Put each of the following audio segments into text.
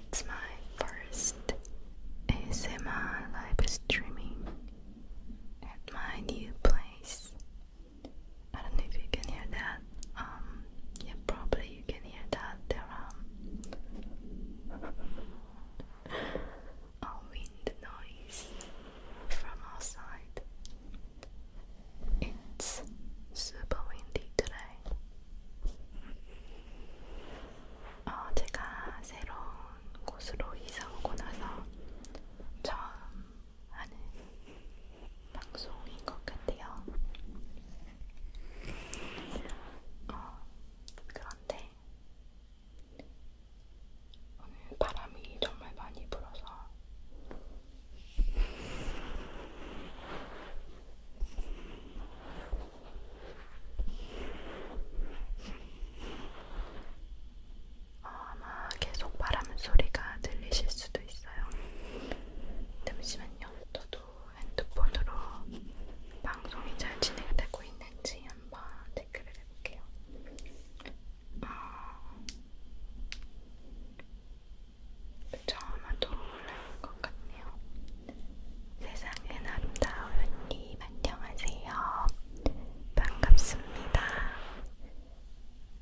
It's my first ASMR live streaming at my new place. I don't know if you can hear that. Um, yeah, probably you can hear that. There are uh, a wind noise from outside. It's super windy today. 어, 제가 새로운 곳으로 이사 오고 나서 처음 하는 방송인 것 같아요. 어, 그런데 오늘 바람이 정말 많이 불어서 어, 아마 계속 바람 소리가 들리실 수도 있어요. 잠시만요. 저도 핸드폰으로 방송이 잘 진행되고 있는지 한번 댓글을 해볼게요. 어... 그쵸, 아마도 올라올 것 같네요. 세상은 아름다운 님 안녕하세요. 반갑습니다.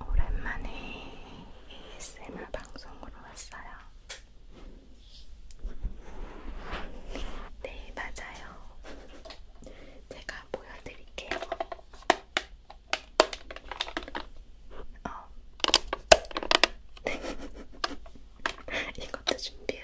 오랜만에 ASMR 방송으로 왔어요. 네, 맞아요. 제가 보여드릴게요. 어. 이것도 준비해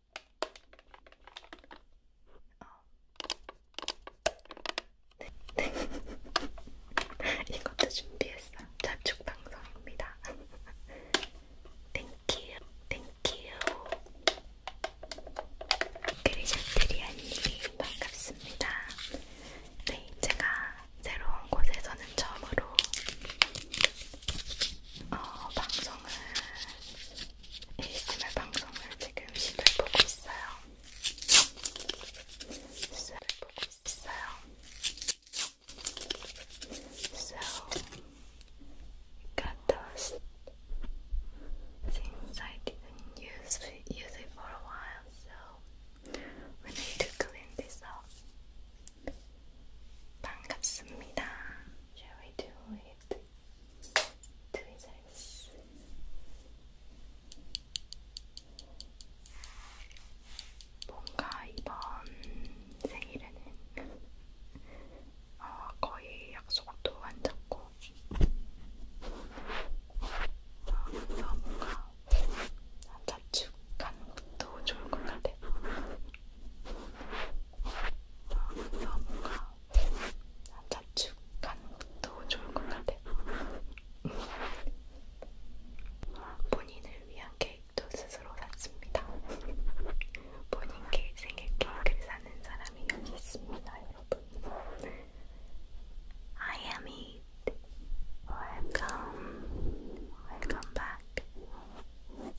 어. 네. 이것도 준비했어요. 자축 방송입니다. 땡큐, 땡큐. 그리자트리아님 반갑습니다. 네, 제가 새로운 곳에서는 처음으로 어, 방송을 ASMR 방송을 지금 시도해 보고 있어요. 시도해 보고 있어요. got those things I didn't use it for a while, so we need to clean this up. 반갑습니다. Shall we do it 트위저스 뭔가 이번 생일에는 어, 거의 약속도 안 잡고 어, 그래서 뭔가 자축하는 것도 좋을 것 같아요. 어, 그래서 뭔가 자축 가는 것도 좋을 것 같아. 본인을 위한 케이크도 스스로 샀습니다. 본인 케이크 생일 케이크를 사는 사람이 여기 있습니다, 여러분. I am it. Welcome. Welcome back. And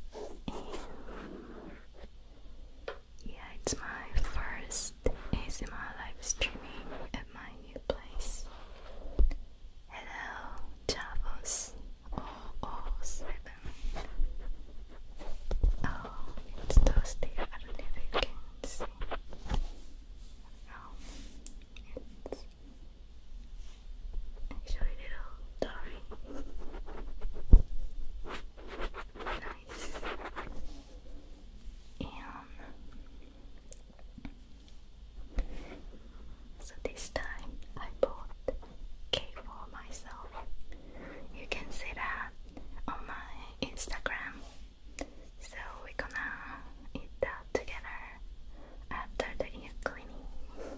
Yeah, it's my first my live streaming at my new place. Hello, Chavos. Oh, Oh, oh it's Thursday. I don't know if oh, it's actually little dark. Nice. so this time I bought cake for myself. You can see that on my Instagram. So we're gonna eat that together after the ear cleaning.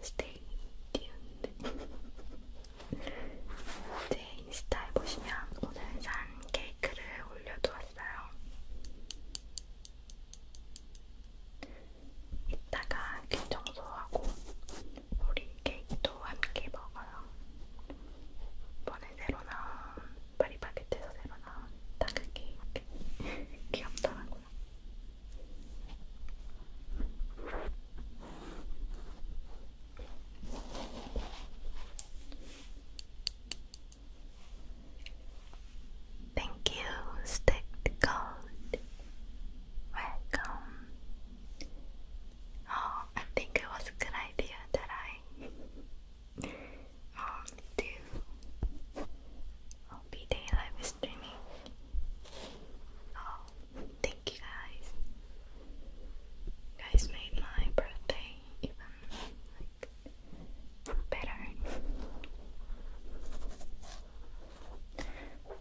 Stay tuned. 제 인스타에 보시면 오늘 산 케이크를 올려두었어요. 이따가 귀 청소하고 우리 케이크도 함께 먹어요. 이번에 새로 나온 파리바게트에서 새로 나온 다크 케이크 귀엽더라고요. Thank you, Stick Gold. Welcome. Oh, I think it was a good idea that I um do. I'll be Oh, Thank you guys. guys made my birthday even better.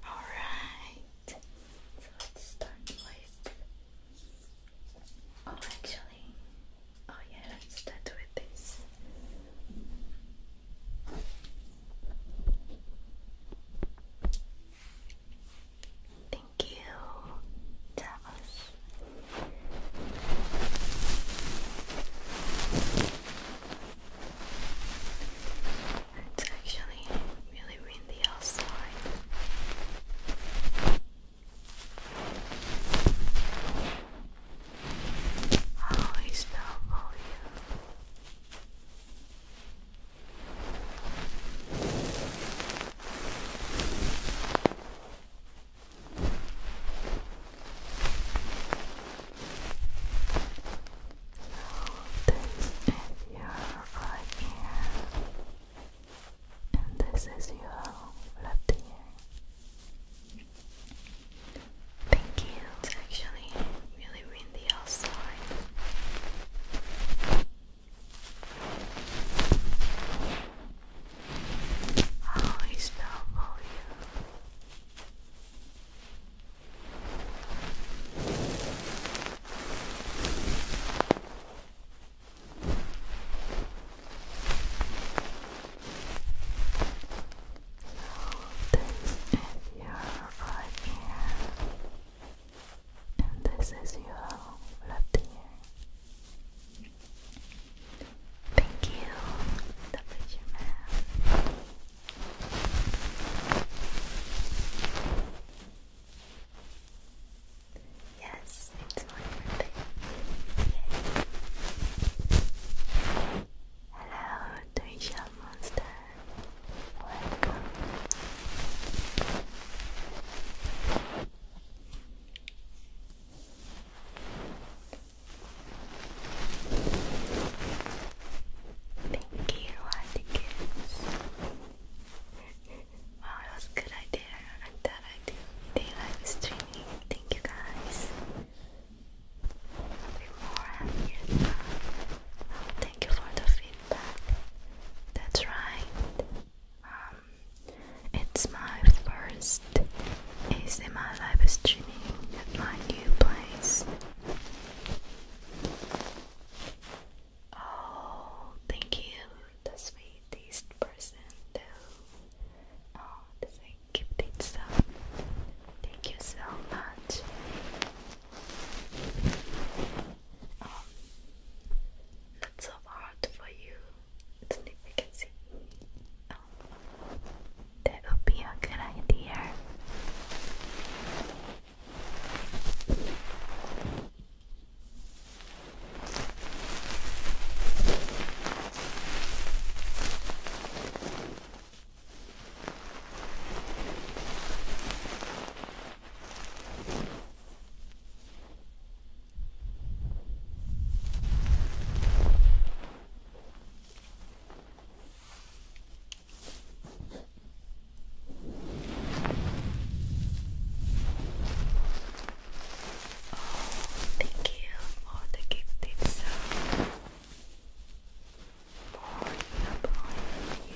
Alright. So let's start with Oh actually oh yeah let's start with this. Thank you, It's actually really windy outside. How is that you? is your right ear, and this is your left ear. Thank you. It's actually really really How is that for you? this is your right ear and this is your left ear. Thank you, the picture man. Yes, it's my birthday. Yay. Hello, Trisha. Monster. Welcome. Thank you, Atticus. Wow, that was a good idea. I thought I do day live streaming. Thank you guys. I'll be more happier thank you for the feedback. That's right. Um, it's my first ASMR live streaming at my new place. Oh, thank you, the sweetest person Oh, does I keep this up? Thank you so much um, not so hard for you. It's see. Um, that would be a good idea thank you for the gift itself. For upon you.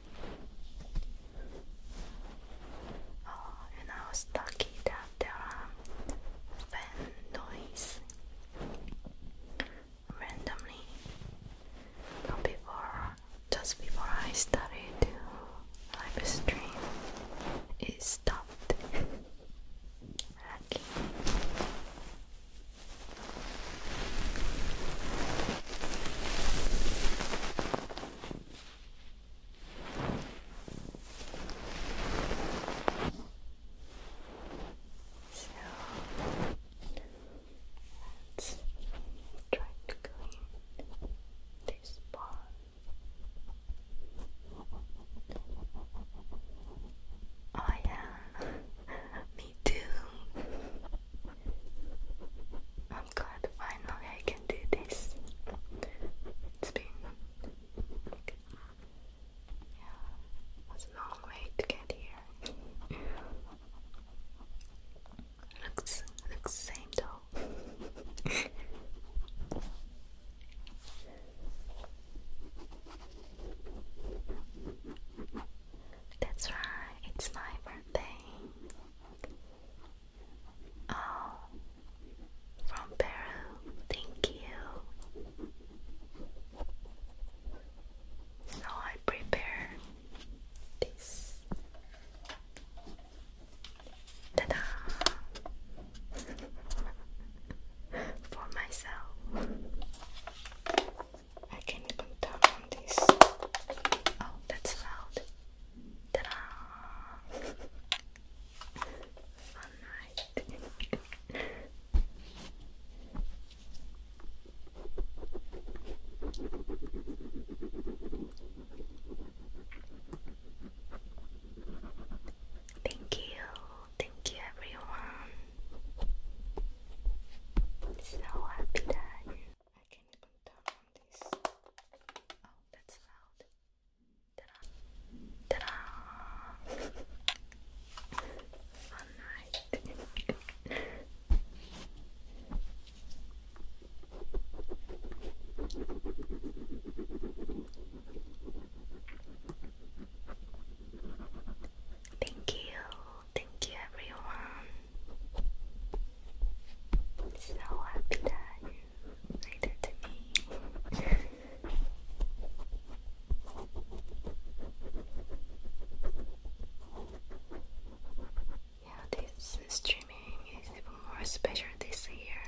Oh, and I was lucky that there are fan noise randomly. just before I started to live it stopped. So let's try to clean this part. Oh yeah, me too. I'm glad glad finally I can do this. It's been a long way to get here. looks looks same though. That's right, it's my birthday. Oh, from Peru, thank you. So I prepare this. Ta-da! For myself, I can even on this. Oh, that's loud. Ta-da! Fun night. Thank you, thank you everyone. So happy that you I can come down this. Oh, that's loud. Ta-da! Ta-da! Fun night. Thank you, thank you everyone. So happy that you made it to me. yeah, this streaming is even more special this year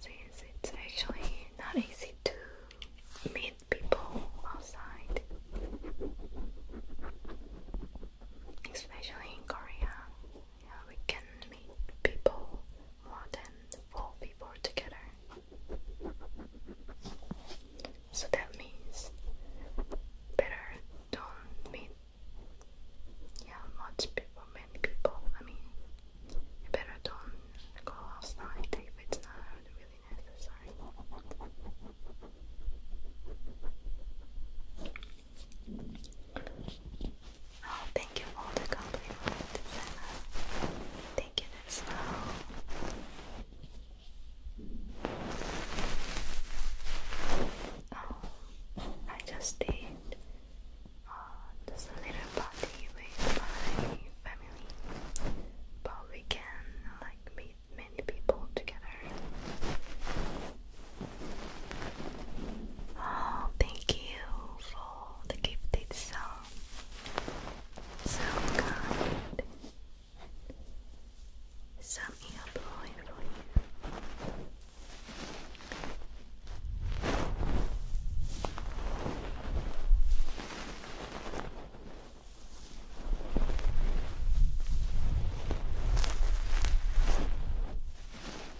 since it's actually not easy to meet people outside, especially in Korea. Yeah, we can meet people more than four people together. So that means better don't meet yeah much people many people. I mean better don't go outside if it's not really necessary. Oh, thank you for the compliment, Thank you, that's Oh, I just did uh, just a little party with my family, but we can like meet many people together. Oh, thank you for the gifted song. So kind. Some ear blowing for you.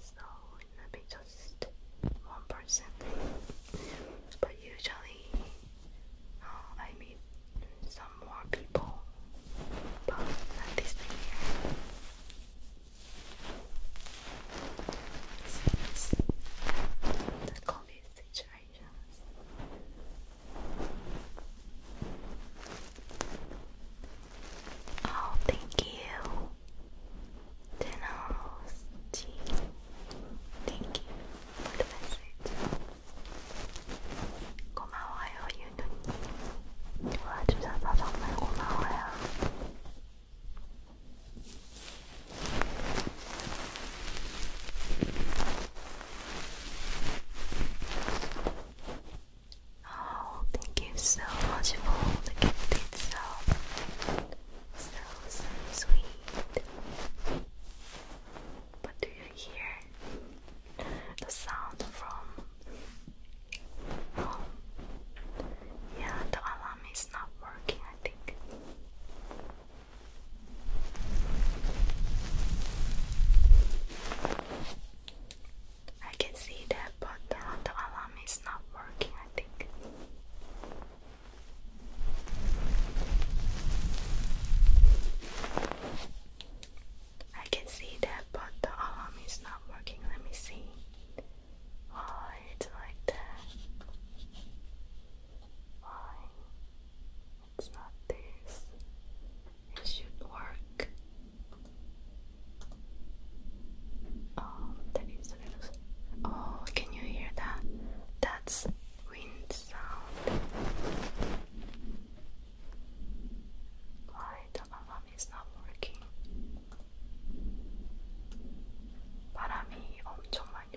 so it will be just one person. But usually, uh, I meet some more people, but this thing the COVID situations. Oh, thank you. Tenos. Thank you the message. 고마워요, 유누님. 도와주셔서 정말 고마워요. Oh, thank you so much for the gift itself. So, so sweet. But do you hear the sound from? Oh, yeah, the alarm is not working, I think. I can see that, but the alarm is not working, I think. I can see that, but the alarm is not working. Let me see. Why it's like that? Why? It's not this. It should work. Oh, there is a little. Oh, can you hear that? That's wind sound. Why the alarm is not working? 바람이 엄청 많이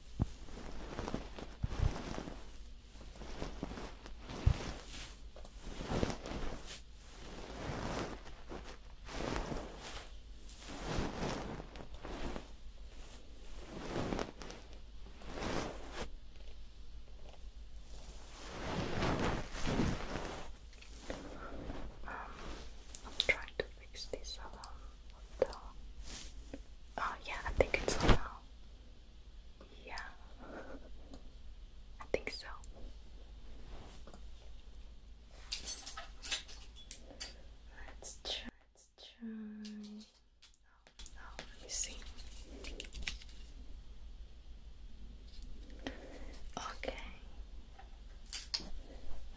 Um, I'm trying to fix this alarm oh yeah, I think it's on Yeah, I think so. Let's try. Let's try. Oh, let me see. Okay.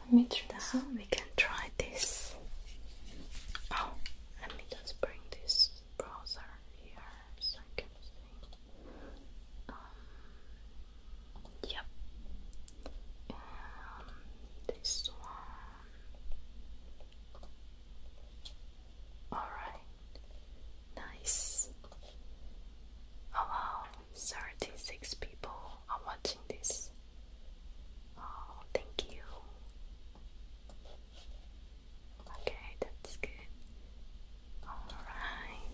Let me try that. We can try this. Oh, let me just bring this browser here so I can see. Um, um this one. Alright. Nice. Oh people are watching this. Oh, thank you. Okay, that's good. Alright.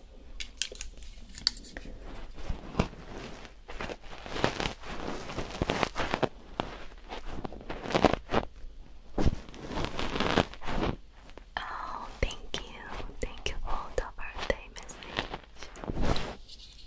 Oh, thank you. Thank you for the birthday message.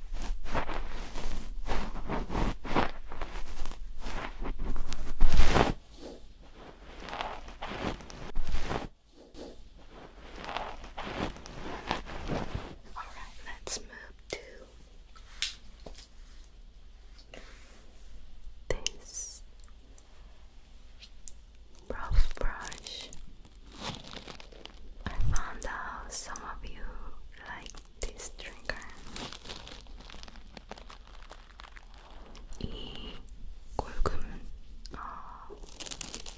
Alright, let's move to this rough brush. I found out some of you like this trigger 이 골금 어,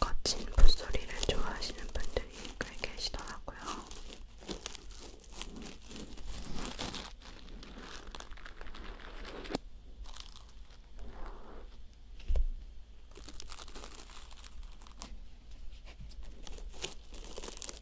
거친 붓소리를 좋아하시는 분들이 꽤 계시더라고요.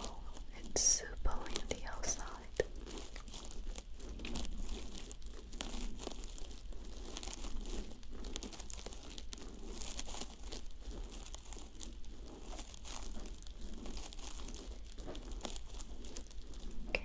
Oh, it's super windy outside. Okay.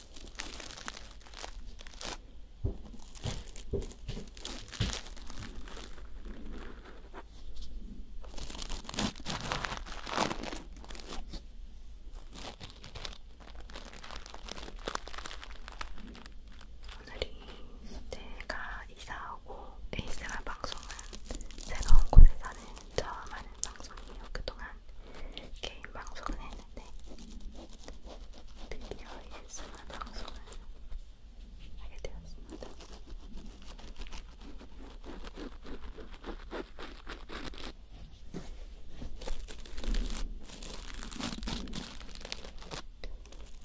오늘이 내가 이사하고 ASMR 방송은 새로운 곳에 사는 처음 하는 방송이에요. 그동안 개인 방송은 했는데 드디어 ASMR 방송을 하게 되었습니다.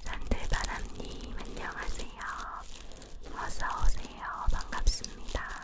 산들바람님 안녕하세요. 어서 오세요. 반갑습니다.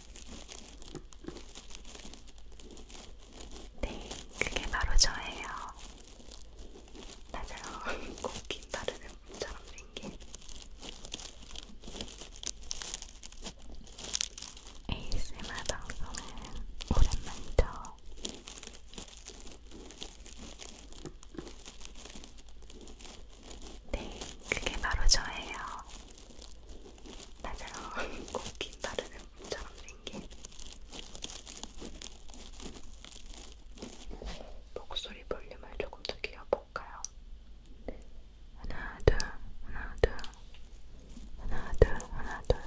네, 그게 바로 저예요. 맞아요. 고기 바르는 분처럼 생긴 ASMR 방송은 오랜만이죠. 네, 그게 바로 저예요. 나처럼 고기 바르는 분처럼 생긴 목소리 볼륨을 조금 더 키워볼까요? 하나, 둘, 하나, 둘, 하나, 둘, 하나, 둘.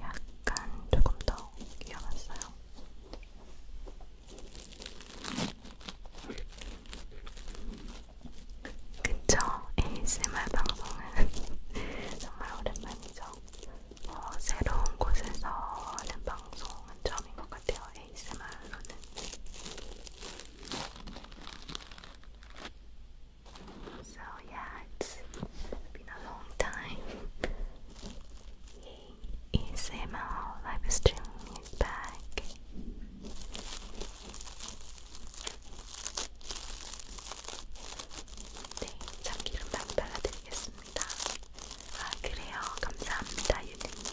약간 조금 더 키워봤어요. 그쵸? ASMR 방송은 정말 오랜만이죠. 새로운 곳에서 하는 방송은 처음인 것 같아요. ASMR로는. So yeah, it's been a long time. ASMR live stream is back. 네, 참기름 반 발라드리겠습니다. 아, 그래요. 감사합니다, 유진님.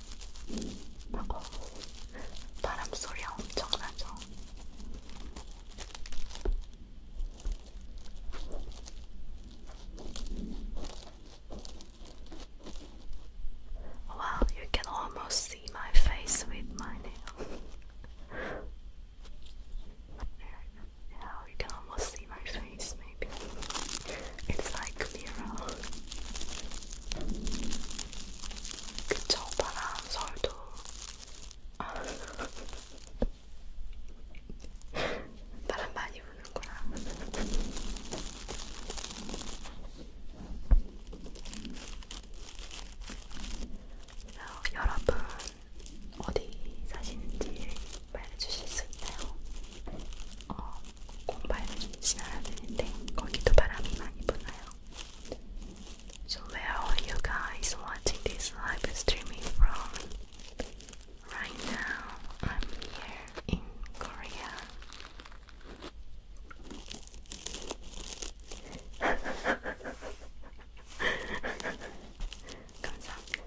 하고 바람 소리 엄청나죠? Wow, you can almost see my face with my nail. yeah, you can almost see my face. maybe. It's like mirror. 그쵸, 바람, 설도. 바람 많이 부는구나. 어, 여러분 어디 사시는지 말해주실 수 있나요? 어, So where are you guys watching this live streaming from? Right now, I'm here in Korea. 감사합니다.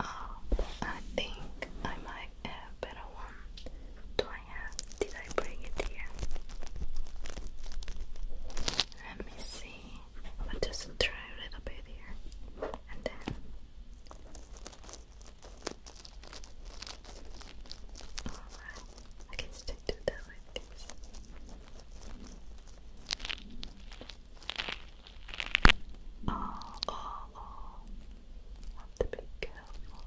Oh, I think I might have better one. Do I have? Did I bring it here? Let me see. I'll just try a little bit here, and then. Alright, I can still do that like Oh, oh, oh. Have to be careful.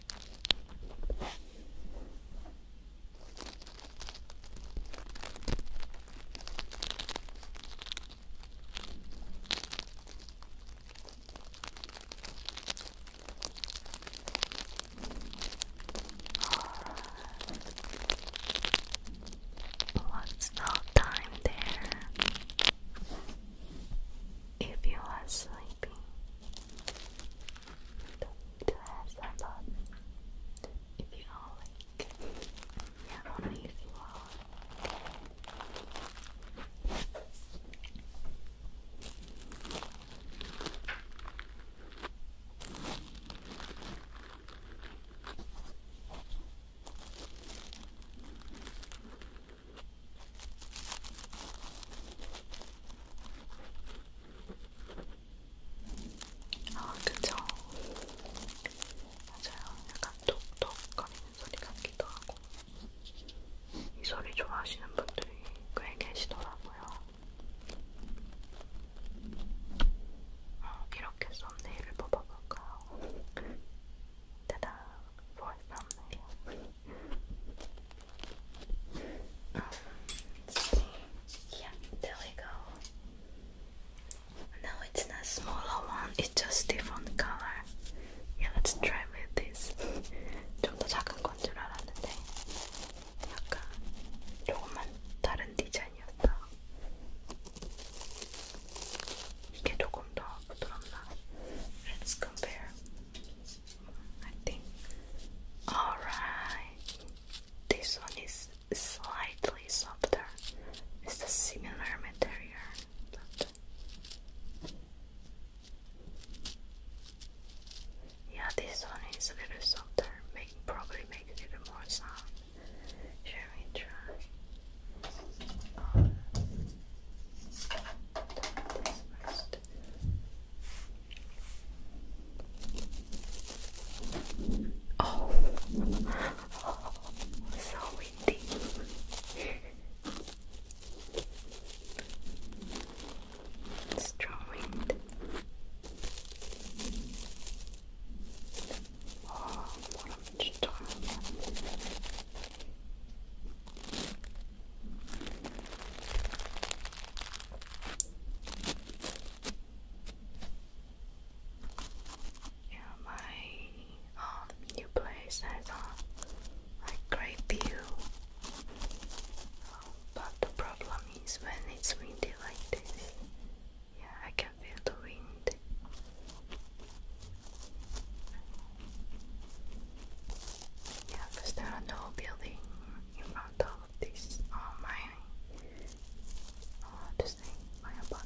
Lots of time there if you are sleeping to have some fun if you are like yeah only if you are 아, 그쵸. 맞아요. 약간 톡톡거리는 소리 같기도 하고. 이 소리 좋아하시는 분들이 꽤 계시더라고요. 어, 이렇게 썸네일을 뽑아볼까요? 따단, 보이 썸네일. Um, Yeah, there we go. No, it's not smaller one, it's just different color. Yeah, let's try with this. 좀 더 작은 건 줄 알았는데 약간 조금만 다른 디자인이었다. 이게 조금 더 부드럽나? Let's compare. I think. Alright. This one is slightly softer. It's a similar material, yeah, this one is a little softer. Make probably make a little more sound. Shall we try? Oh, Oh, so windy. Strong wind. Oh, orange yeah, my um, new place has a like, great view. Um, but the problem is when it's windy like this. Yeah, I can feel the wind. Yeah, because there are no buildings in front these are my uh, this thing, my apartment.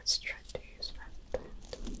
Let's try to use left hand.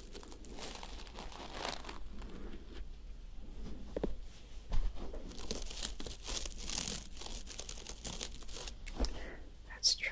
Let's try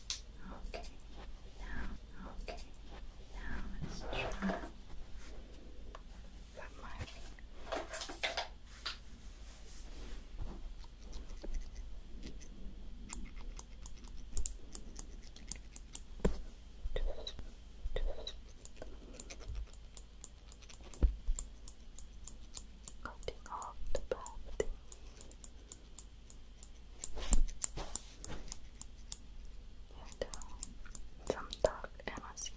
Okay, now, okay, now let's try for my Cutting off the body. And um, some dark energy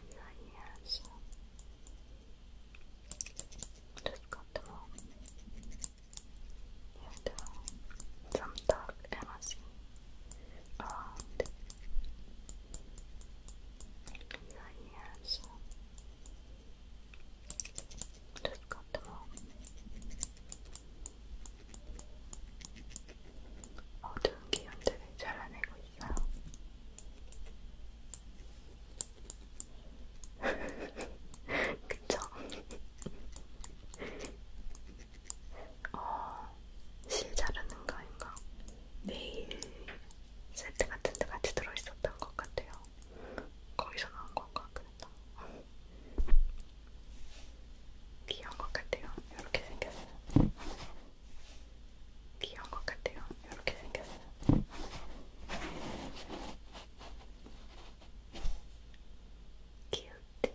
around your Just got them all. Um, some dark energy around your Just cut them off. 어두운 기운들을 잘라내고 있어요. 그쵸? 어, 실 자르는 거인가? 메인 세트 같은 데 같이 들어있었던 것 같아요. 거기서 나온 건가? 그랬다. 귀여운 것 같아요. 이렇게 생겼어요. 귀여운 것 같아요. 이렇게 생겼어요. 귀엽대.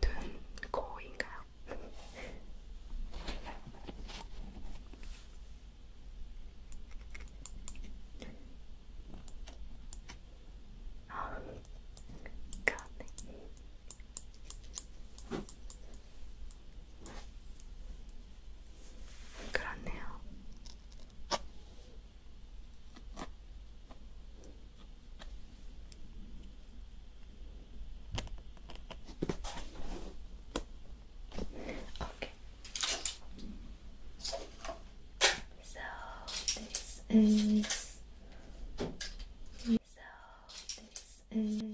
눈, 코인가요? 아, 그러네. 그렇네요. Okay. So this is so this is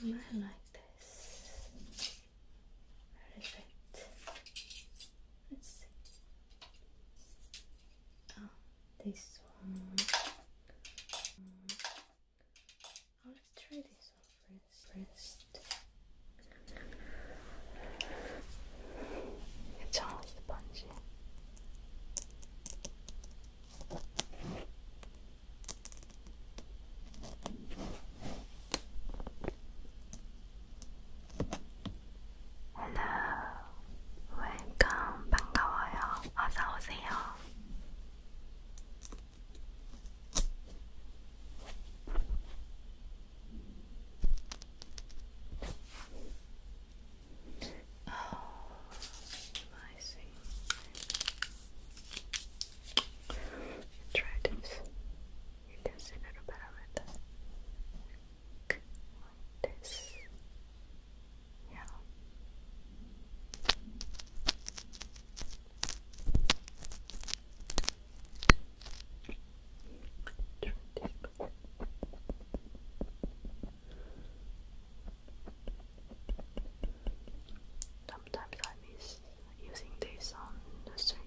I like this. Perfect. Let's see. Oh, this one. Mm. Oh, try this one first. It's all spongy. Hello, welcome. 반가워요. 오세요. Oh, I see. Try this. You can see a little better with that like this. Yeah. Sometimes I miss using this on the studio.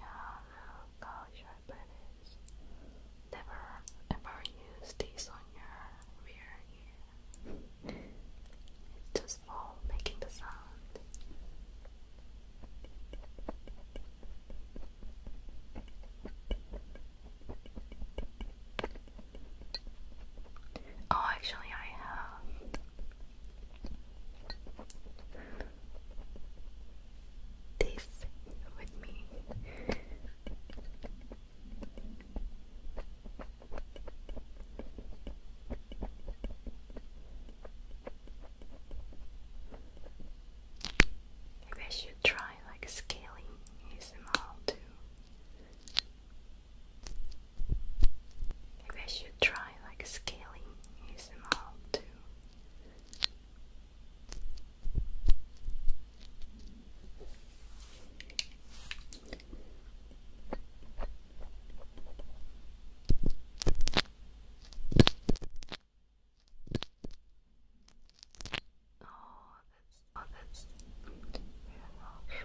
Yeah, no, gosh, your never ever use these on your rear ear. It's just for making the sound. Oh, actually, I have this with me. I should try like scaling ASMR too. Maybe I should try like scaling ASMR too. Oh, that's oh, that's very harsh.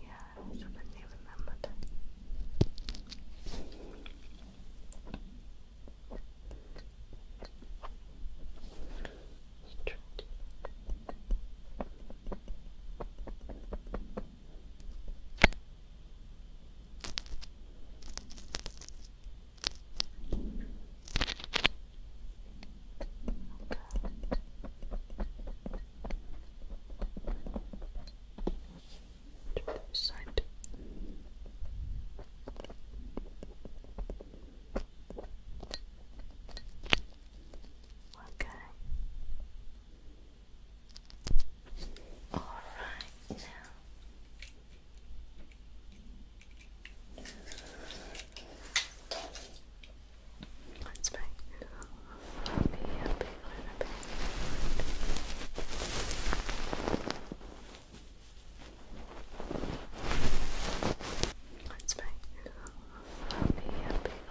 Yeah, I was hoping they remembered. To the side. Okay. All right now. Let's make me happy, happy, happy. Let's make me happy, happy, happy. Let's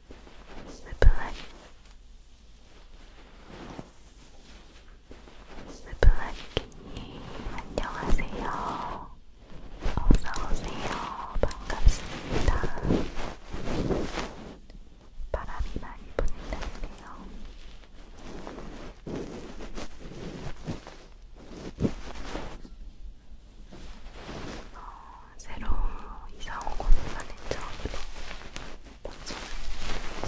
Maybelline 마블라이키님 안녕하세요. 어서오세요. 반갑습니다. 바람이 많이 부는다네요. 어, 새로 이사온 곳만의 처음으로 방송을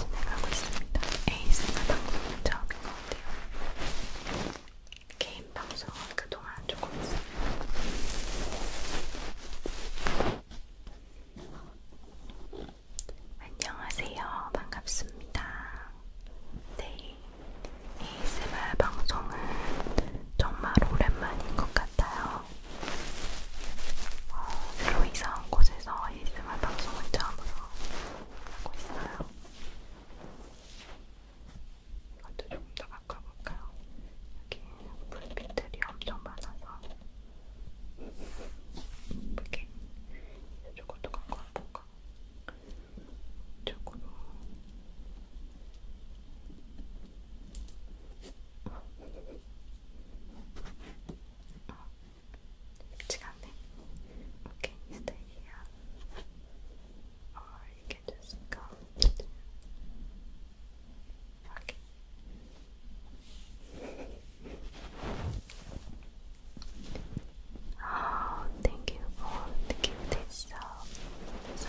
진행하고 있습니다. ASMR 방송은 처음인 것 같아요. 개인 방송은 그동안 조금 있었는데 안녕하세요. 반갑습니다. 네, ASMR 방송은 정말 오랜만인 것 같아요. 어, 새로 이사한 곳에서 ASMR 방송을 처음으로 하고 있어요. 이것도 조금 더 바꿔볼까요? 여기 불빛들이 엄청 많아서 이렇게 이쪽으로 갖고 와볼까? 이쪽으로 It's coming. Okay, you stay here. Or you can just go. Okay. Oh, thank you for the gift So, so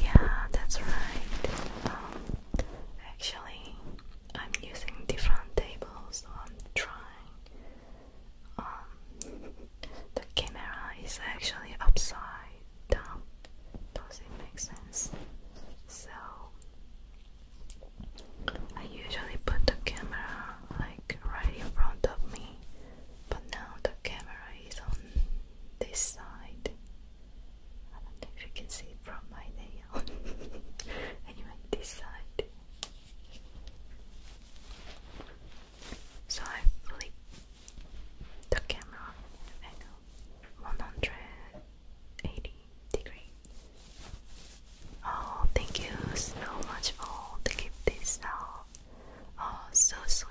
Yeah, that's right. Um, actually, I'm using different tables, so I'm trying. Um, the camera is actually upside down. Does it make sense? So I usually put the camera like right in front of me, but now the camera is on this side. I don't know if you can see from my nail. anyway, this side. So I flip the camera 180 degrees. Oh, thank you so much for the gift this out. Oh, so sweet.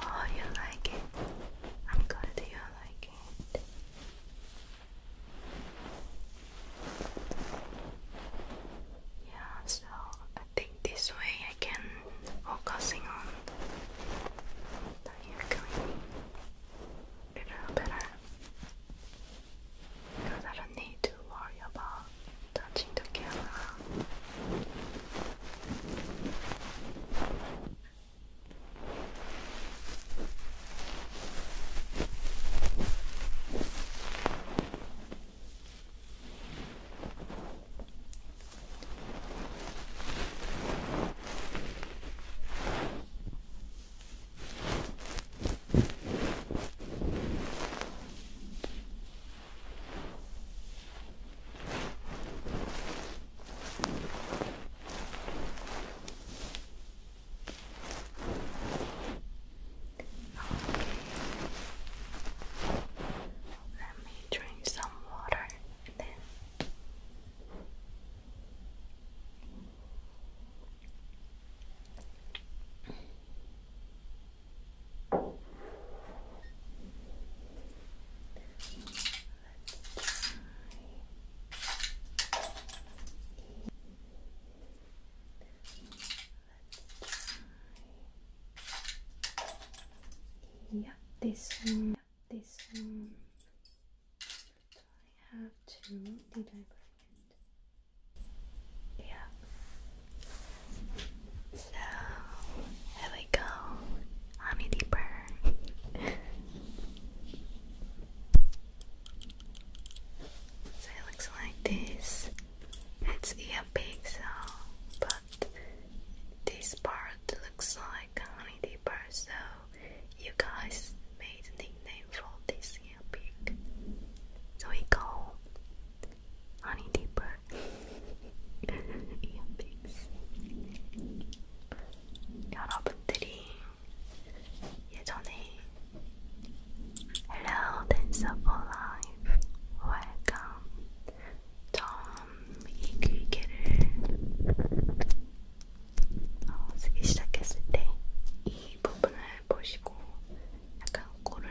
Oh, you like it? I'm glad you like it. Yeah, so I think this way I can focusing on the a little better because I don't need worry about touching the camera. Let me drink some water then. Yeah, this one, this one. I have two. Did I forget? Yeah, so here we go, honey deeper. so it looks like this. It's ear pixel, but this part looks like honey deeper. So you guys made nickname for this ear So we call honey deeper. 이어픽스. 여러분들이 예전에 Hello, Danceable Life, Welcome. 처음 이 기계를 어, 쓰기 시작했을 때 이 부분을 보시고 약간 코를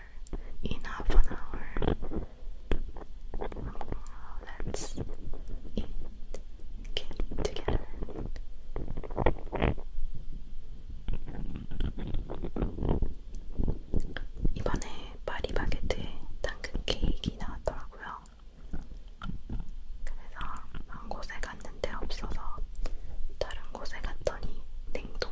in half an hour. Let's eat cake together. 이번에 파리바게트에 당근 케이크 나왔더라고요. 그래서 한 곳에 갔는데 없어서 다른 곳에 갔더니 냉동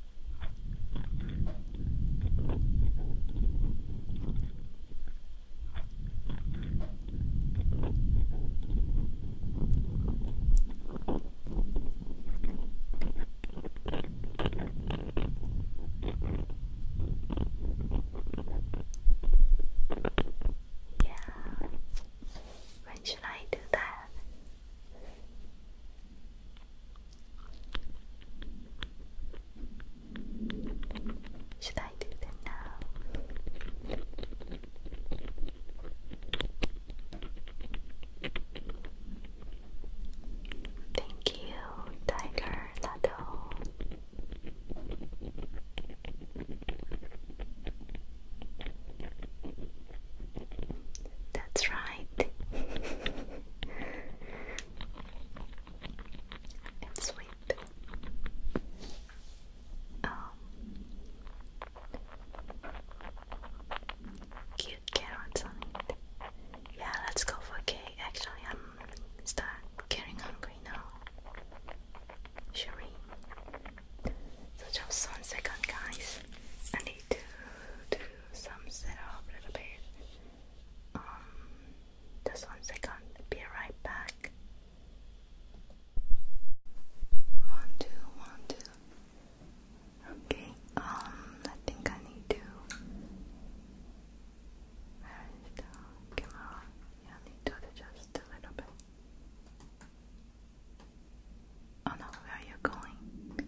Yeah. When should I do that? Should I do that now? Thank you, Tiger Lado. That's right. and sweet. Um, cute carrots on it. Yeah, let's go for cake. Actually, I'm start getting hungry now. Shall we? So just one second, guys. I need to do some setup a little bit. Um, just one second, be right back. One, two, one, two. Okay, um, I think I need to. Where is the Yeah, need to adjust a little bit. Oh no, where are you going?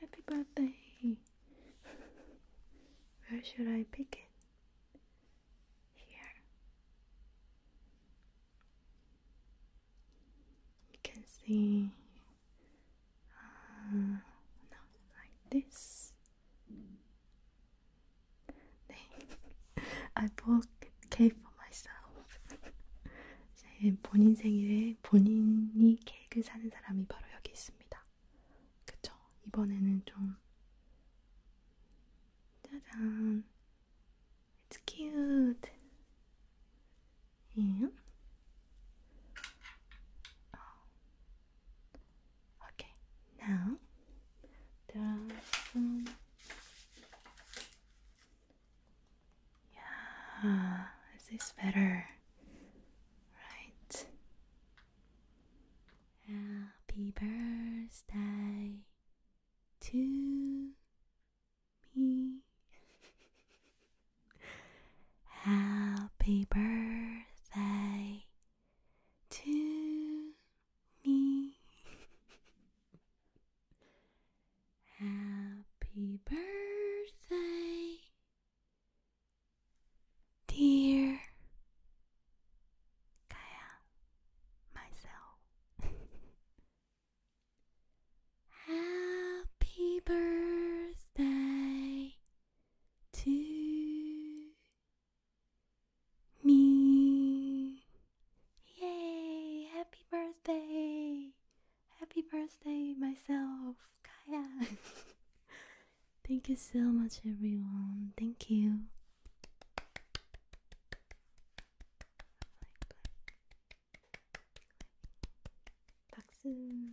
Happy birthday! Where should I pick it? Here. You can see. Uh, like this. 네. I bought cake for myself. 제 본인 생일에 본인이 케이크를 사는 사람이 바로 여기 있습니다. 그쵸? 이번에는 좀 짜잔. It's cute. Yeah. 어. Okay. Now there Yeah, is this better? Right. Happy birthday to me. Happy birthday to me. Happy birthday, dear Kaya, myself. Happy birthday to me. Yay! Happy birthday! Happy birthday, myself, Kaya. Thank you so much, everyone. Thank you. 박수.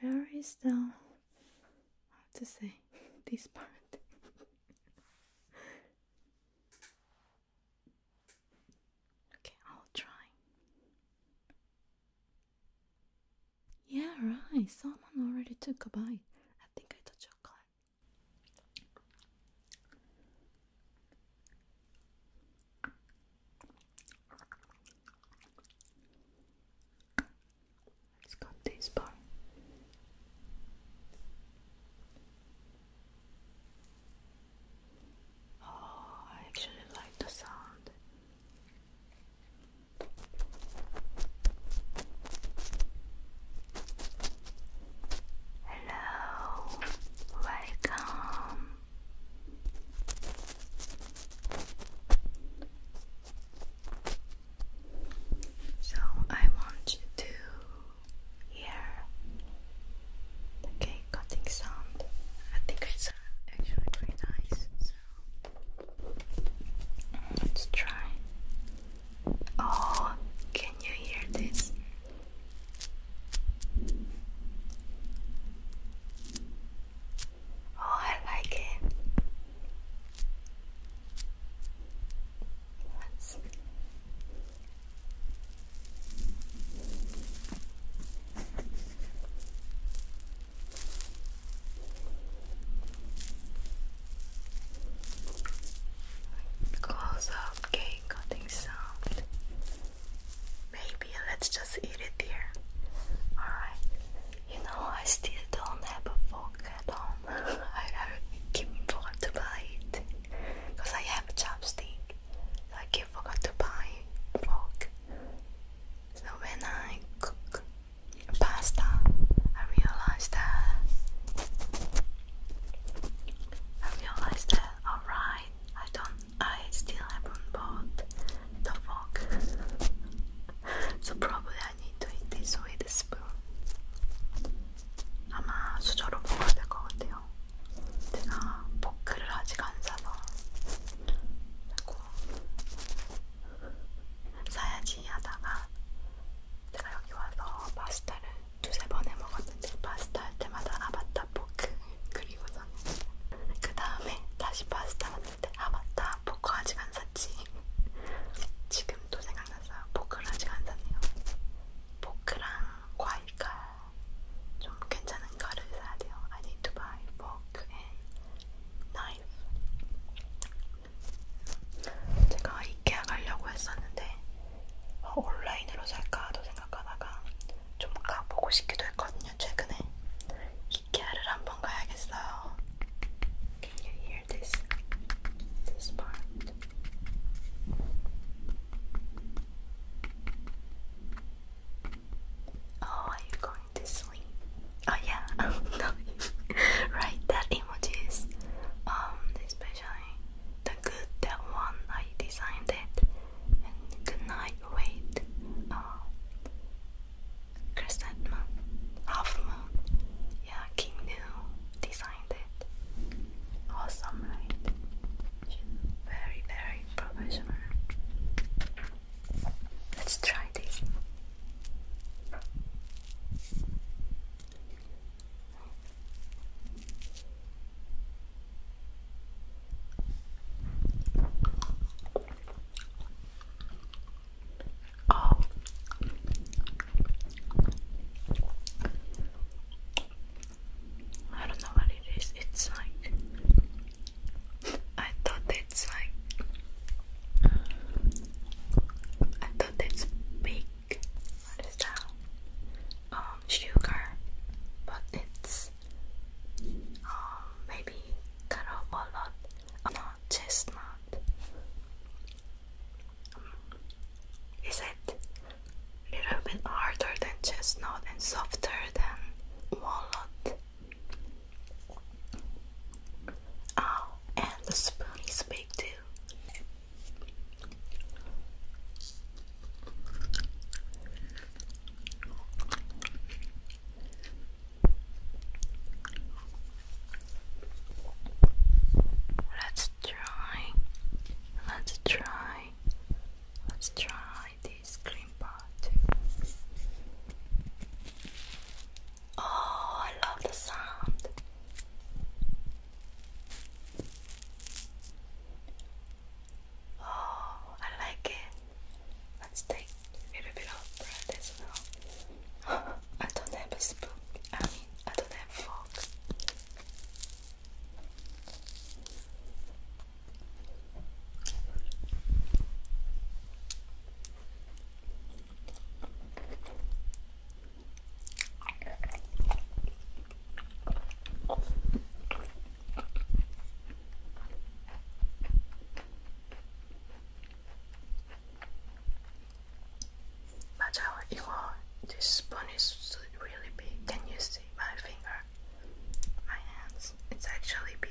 Where is the how to say this part? okay, I'll try. Yeah, right. Someone already took a bite. I think I got chocolate. Let's cut this part. Oh, I actually like the sound. Hello, welcome. So I want you to hear the cutting sound. I think it's actually pretty nice. So let's try. Oh, can you hear this? Oh, I like it. close up, okay, cutting Maybe let's just eat it there. Alright. You know, I still don't have a fork at home. I, I forgot to buy it. Because I have a chopstick. I forgot to buy fork. So when I cook pasta, I realize that. I realized that, alright, I don't I still haven't bought the fork, so probably I need to eat this with a spoon. 아마 수저로 먹어야 될것 같아요. 제가 포크를 아직 안 사서 자꾸 사야지 하다가 제가 여기 와서 파스타를 두세 번 해먹었는데 파스타 할 때마다 아바타 포크 그 그리고서 그 다음에 다시 파스타 만들 때아 맞다 포크 아직 안 샀지 지금도 생각났어요 포크를 아직 안 샀네요 포크랑 과일칼 좀 괜찮은 거를 사야 돼요 I need to buy fork and knife 제가 이케아 가려고 했었는데 어, 온라인으로 살까도 생각하다가 좀 가보고 싶기도 했거든요 최근에 이케아를 한번 가야겠어요. Oh, are you going to sleep? Oh yeah, right, that emoji is um especially the good that one I designed it. good night lightweight uh, crescent moon, half moon. Yeah, King designed it. Awesome, right? very, very professional. Let's try this. Oh. I don't know what it is. It's like I thought it's like I thought it's big. What is that? Um, sugar, but it's um maybe that are a not chestnut. Mm. Is it a little bit harder than chestnut and softer than walnut? Oh, and the spoon is big too. Let's try. Let's try. Let's try this cream bar Oh, I love the sound. Oh, I like it. Let's take a little bit of bread as well. I don't have a spoon. I mean, I don't have fork. But how it this spoon is really big. Can you see my finger? My hands. It's actually big.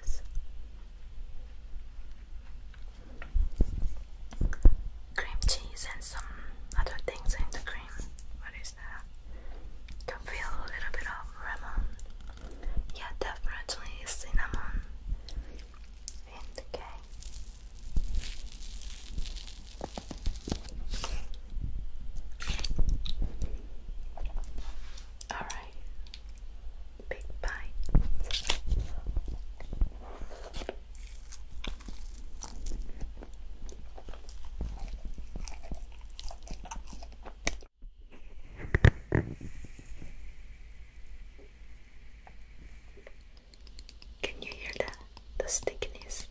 Use cream cheese and some other things in the cream. What is is uh, can feel a little bit of lemon. Yeah, definitely cinnamon in Alright, big bite. Can you hear that? The stickiness.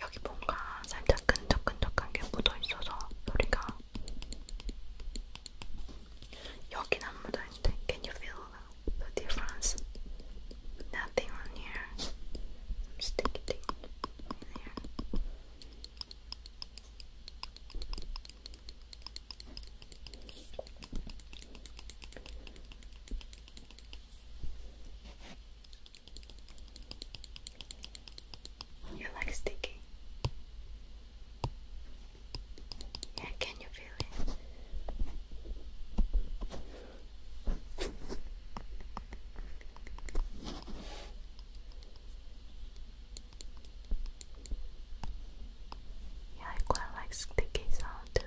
여기 뭔가 살짝 끈적끈적한 게 묻어있어서 소리가 여긴 안 묻어있는데 Can you feel the difference? nothing on here. Some sticky You like sticky? Yeah, can you feel it? Yeah, I quite like sticky sound too.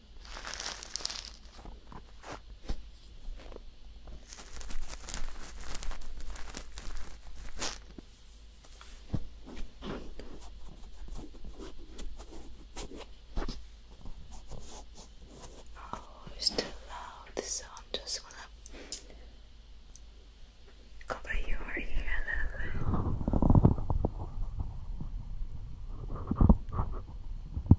Oh, it's too loud, so I'm just gonna cover your ear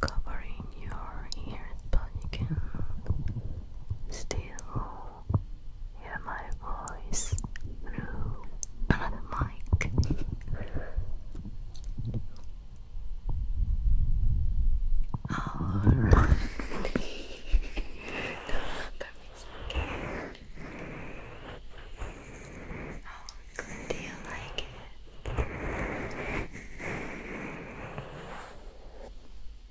covering your ears, but you can still hear my voice through another mic. Alright. How good do you like it?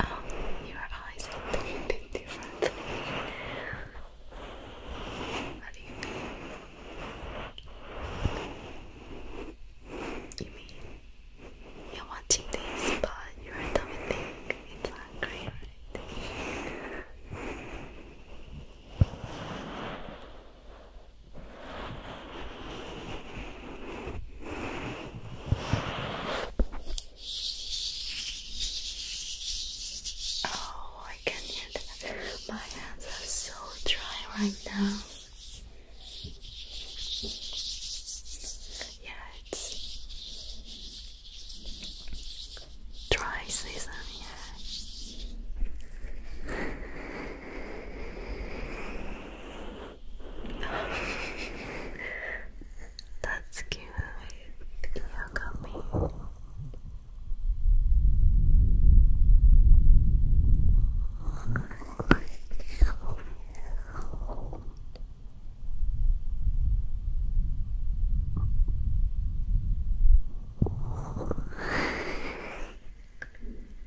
Oh, your eyes are a different. you mean? You are watching this, but your tummy think it's angry, right? Oh, I can hear that. My hands are so dry right now. Yeah, it's dry season, yeah. That's cute. Yeah, got me.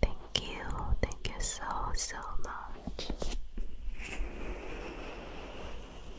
Thank you, thank you so, so much.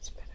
Let's better.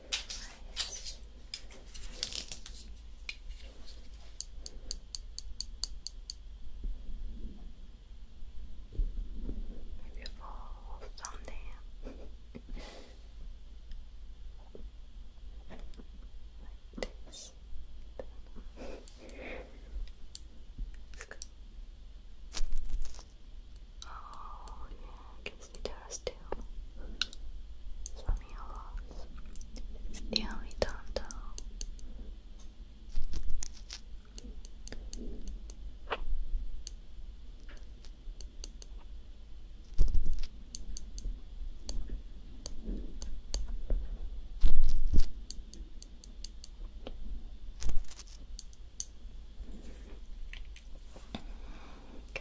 Right. Beautiful thumbnail. this. Oh, yeah, because it has still some yellows. It's the only time though. Okay.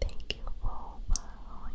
Thank you for following.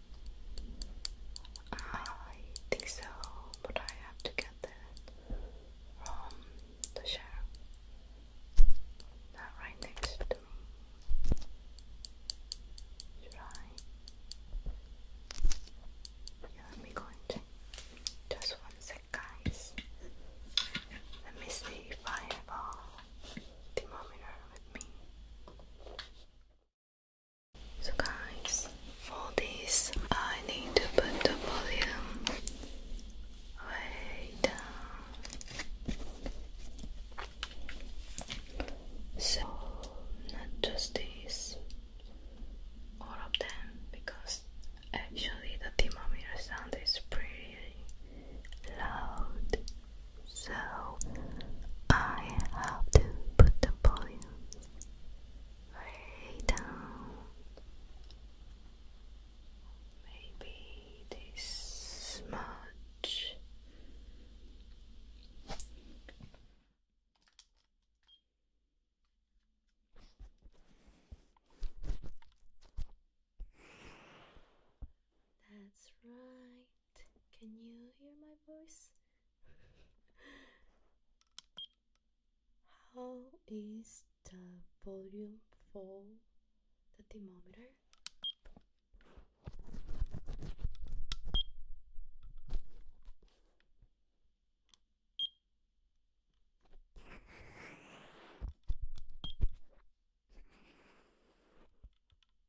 I think so, but I have to get that from the shower. Not right next to me. Should I? let me go and Just one sec, guys. Let me see if I have all thermometer with me. So guys, for this I need to put the volume way down. So not just this, all of them, because actually the thermometer sound is pretty loud. So I have to put the volume way down. Maybe this much. That's right. Can you hear my voice? How is the volume for the thermometer?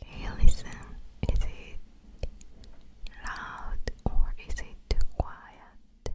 Okay, listen. Is it loud or is it too quiet?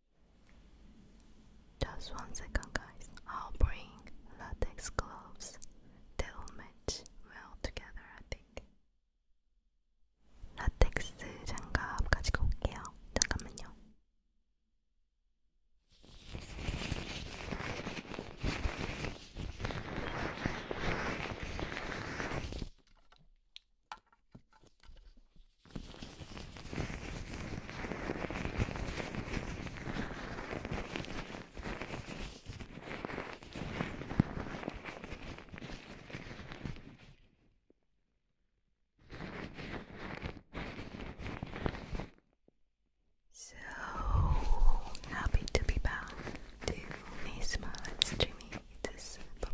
Just one second, guys. I'll bring latex gloves. They'll match well together, I think. 라텍스 장갑 가지고 올게요. 잠깐만요. So happy to be back to a small live this bubble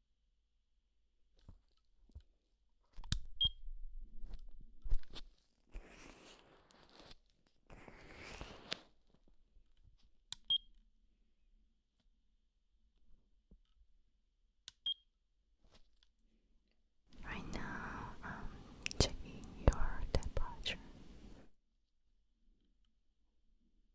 Right now, I'm checking your temperature.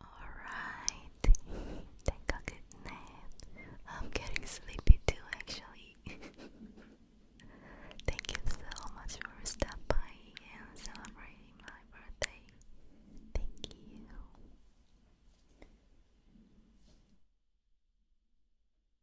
Alright, take a good nap. I'm getting sleepy too, actually. Thank you so much for stopping by and celebrating my birthday. Thank you.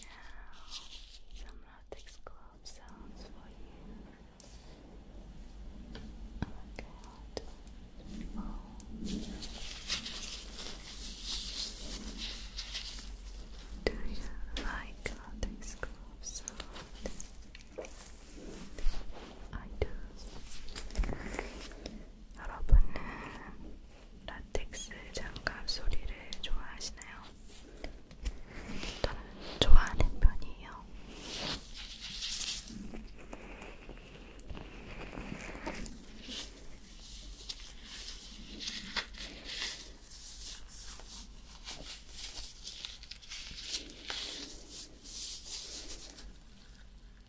Now, some latex glove sounds for you. Okay, do you like latex glove sound? I do. 여러분은 라텍스 장갑 소리를 좋아하시나요? 저는 좋아하는 편이에요.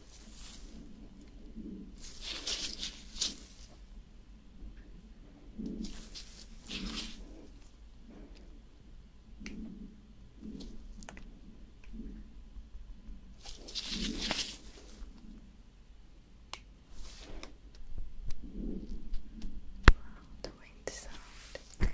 Wow, the wind sound.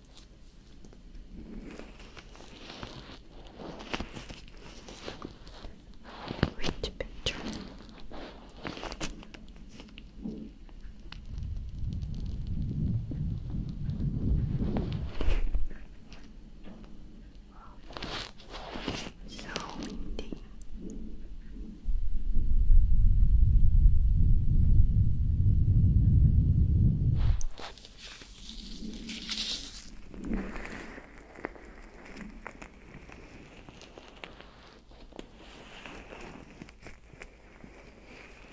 Which picture? So windy.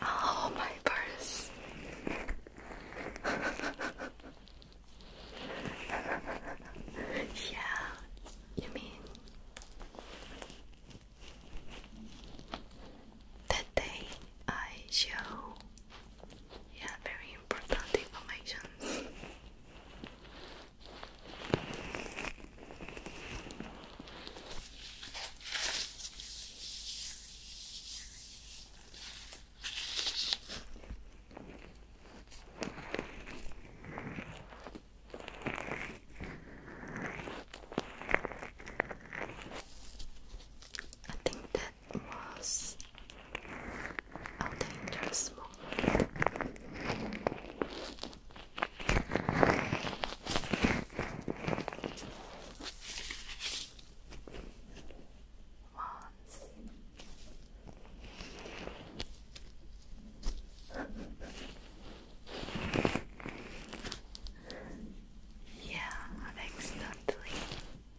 Oh, my purse. yeah, you mean that day I show yeah very important information. I think that was a dangerous moment. yeah, accidentally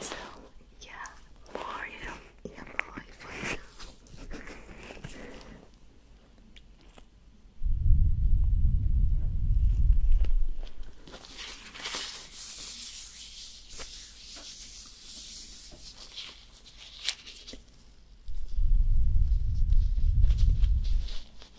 So, yeah, more you know, for you.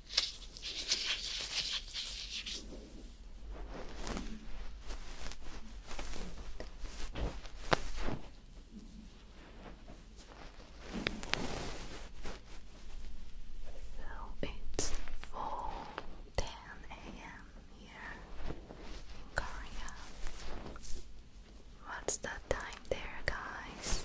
So it's 4:10 a.m. here in Korea. What's the time there, guys?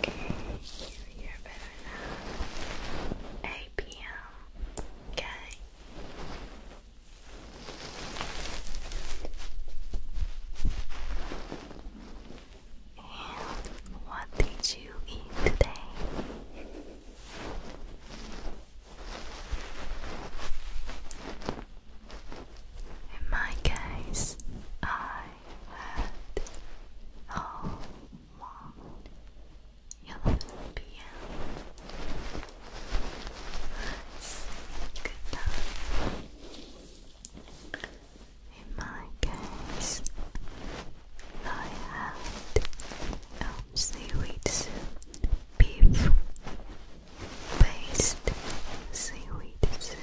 Okay, you hear better now. 8 p.m. Okay. And what did you eat today? In my case, I had all morning. 11 p.m. Good In my case, I had um, seaweed soup, beef based seaweed soup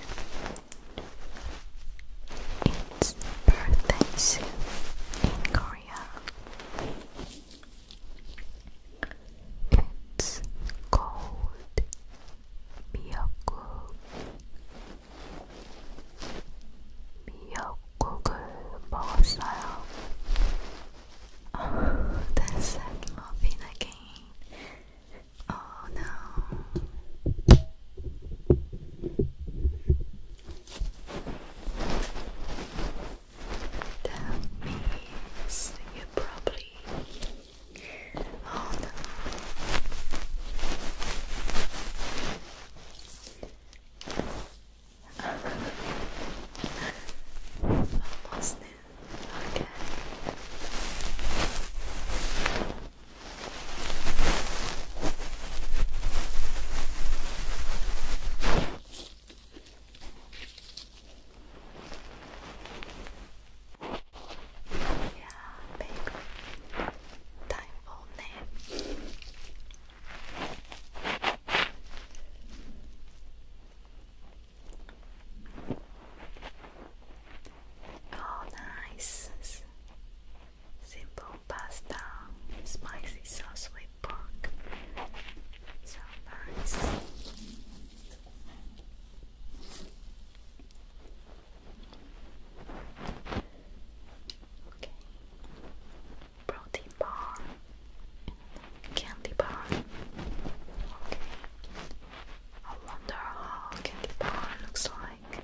it's birthday suit in Korea. It's called 미역국. 미역국을 먹었어요. that's that again. Oh no. That means you probably. Oh no. Almost there. Okay. Yeah, baby. Time for nap. Oh, nice. Simple pasta, spicy sauce with pork. So nice. Okay. Protein bar, candy bar. Okay. I wonder how candy bar looks like.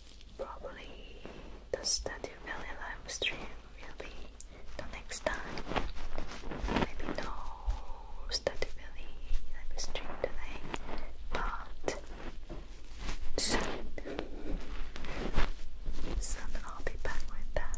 Probably the study really live stream will be the next time. Maybe no study really today, but soon. Soon I'll be back with that.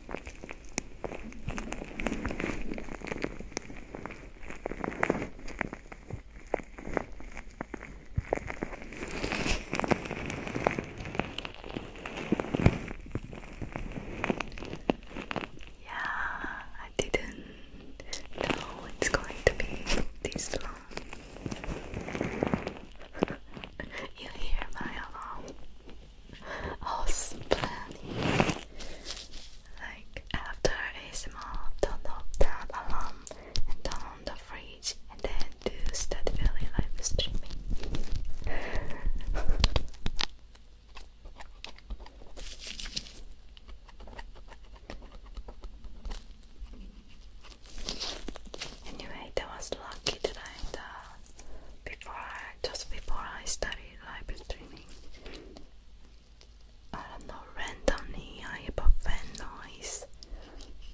Yeah, I didn't know it's going to be this long. you hear my alarm house planning. Like after a small turn off that alarm and turn on the and then do start really live streaming. anyway, that was lucky today. That before I, just before I started live streaming, I don't know, randomly I have a fan noise.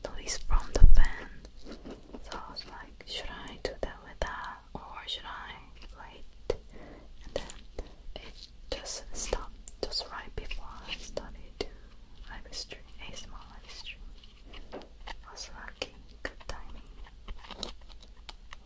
Noise from the fan. So I was like, should I do that with that or should I wait? And then it just stopped just right before I started to live a small live was lucky, good timing.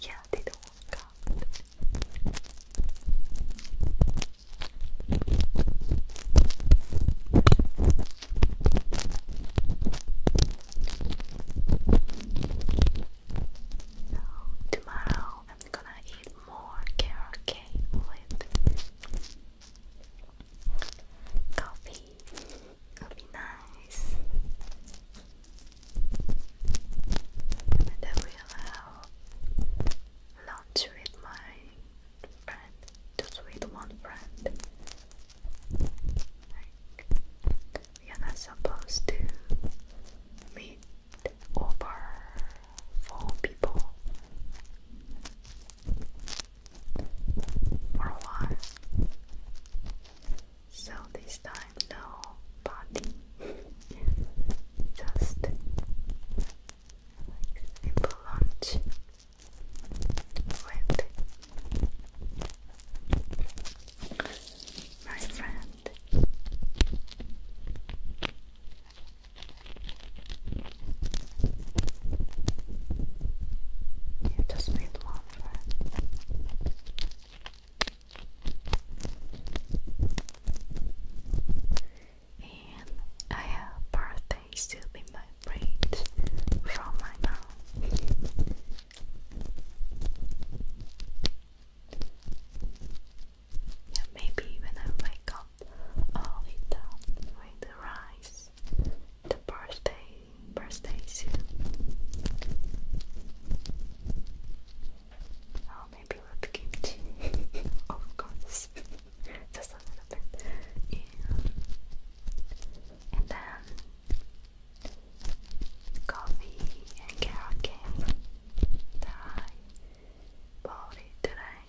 Yeah, they don't work out. So tomorrow I'm gonna eat more carrot cake with coffee. It'll be nice and I will allow lunch with my friend, just with one friend. Like, we are not supposed to meet over four people for a while. So this time, no party, just like lunch with my friend. just made one and I have birthdays to be my braid from my mom. Yeah, maybe when I wake up, I'll eat the rice, the birthday, birthday soup. Oh, maybe with kimchi. of course. Just a little bit. Yeah. And then coffee and carrot cake that I bought it today.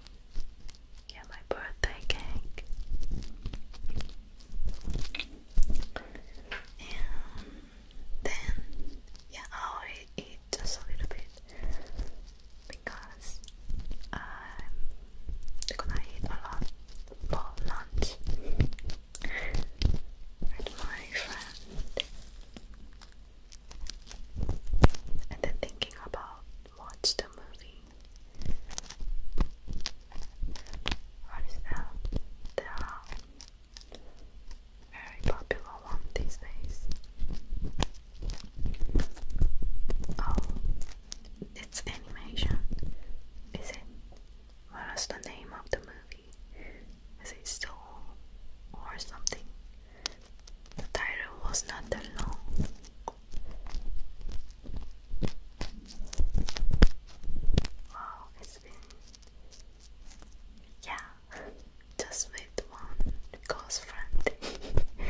Yeah, my birthday cake. And then yeah, I'll eat just a little bit because I'm gonna eat a lot for lunch with my friend and then thinking about watch the movie what is that? The very popular one these days. Oh, it's animation, is it? What is the name of the movie? Is it Soul or something? The title was not that long. Wow, it's been yeah, just with one close friend.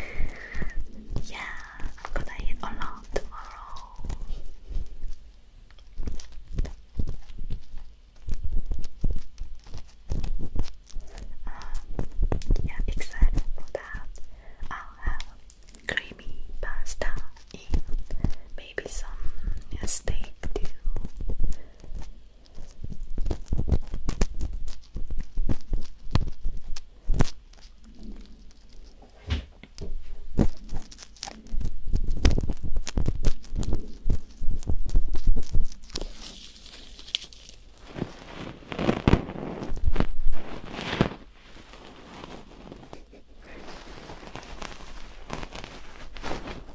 yeah, gonna eat a tomorrow. Um, yeah, excited for that. I'll have creamy pasta in maybe some steak too.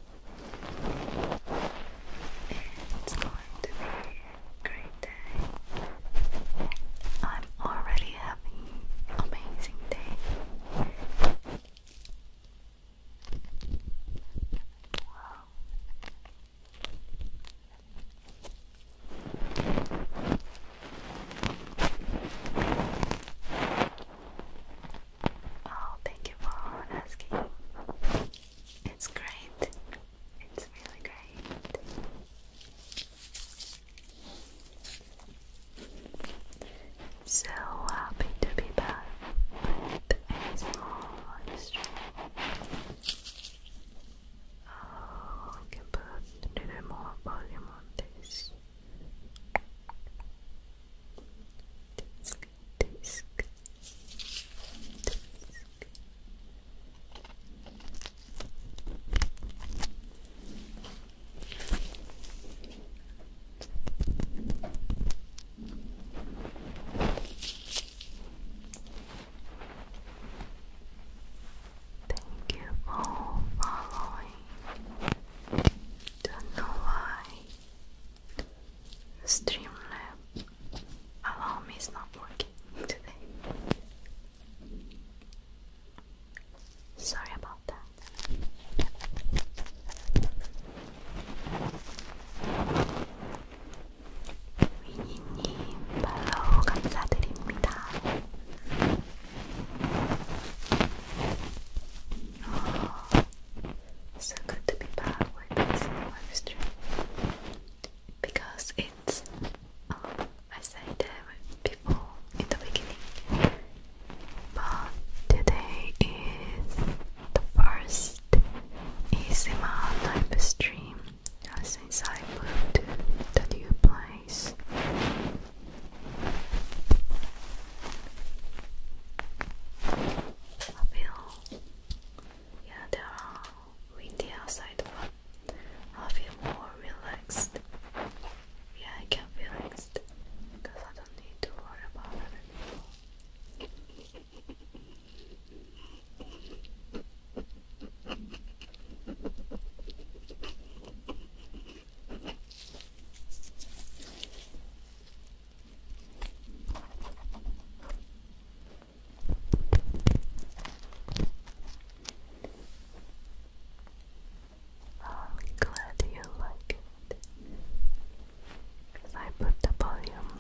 It's going to be a great day. I'm already having an amazing day. Wow. Oh, thank you for asking. It's great. It's really great. So happy uh, to be back with a I oh, can put a little more volume on this. Thank you for following. Don't know why Streamlab allow is not working today. Sorry about that. 위니님 바로 감사드립니다 so good to be back with this live because it's um, I said that before in the beginning but today is the first ASMR live stream since I moved to the new place I feel, yeah, there are windy outside, but I feel more relaxed. Yeah, I can feel relaxed because I don't need to worry about other I'm glad you like it I put the volume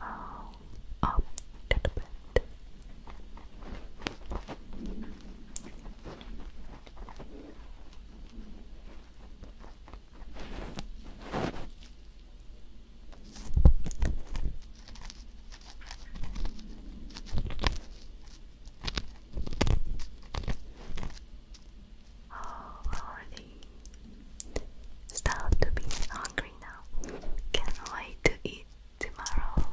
uh, up a little bit. Oh, Lordy. Start to be hungry now. Can't wait to eat tomorrow.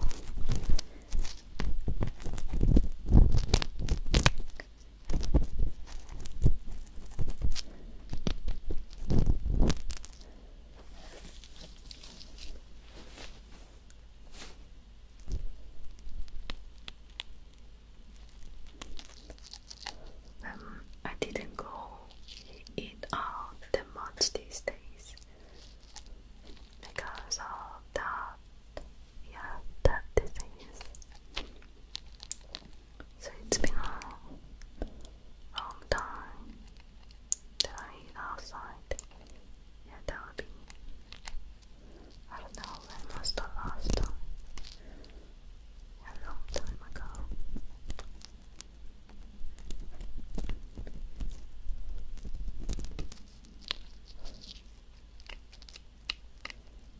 Um, I didn't go eat out that much these days because of that. Yeah, that disease. So it's been a long time that I eat outside. Yeah, that would be. I don't know when was the last A long time ago.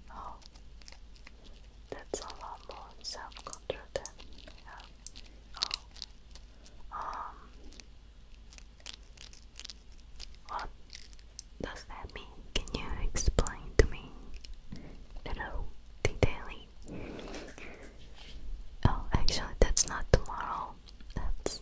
Oh, that's a lot more self-control Oh, um, what does that mean? Can you explain to me little detailing? Oh, actually, that's not tomorrow. That's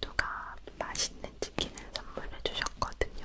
누가 맛있는 치킨을 선물해 주셨거든요.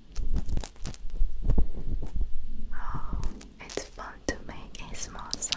Oh, it's fun to make a small sound.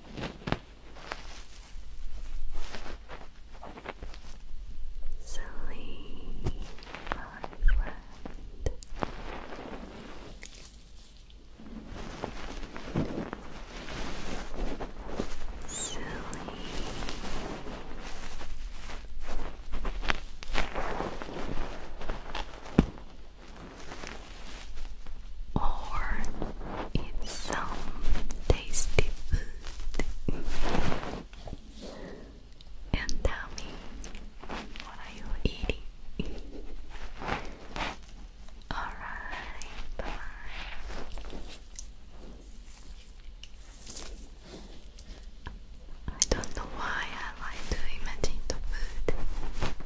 Sleep, my Silly or eat some tasty food and tell me what are you eating. Alright, bye. I don't know why I like to imagine the food.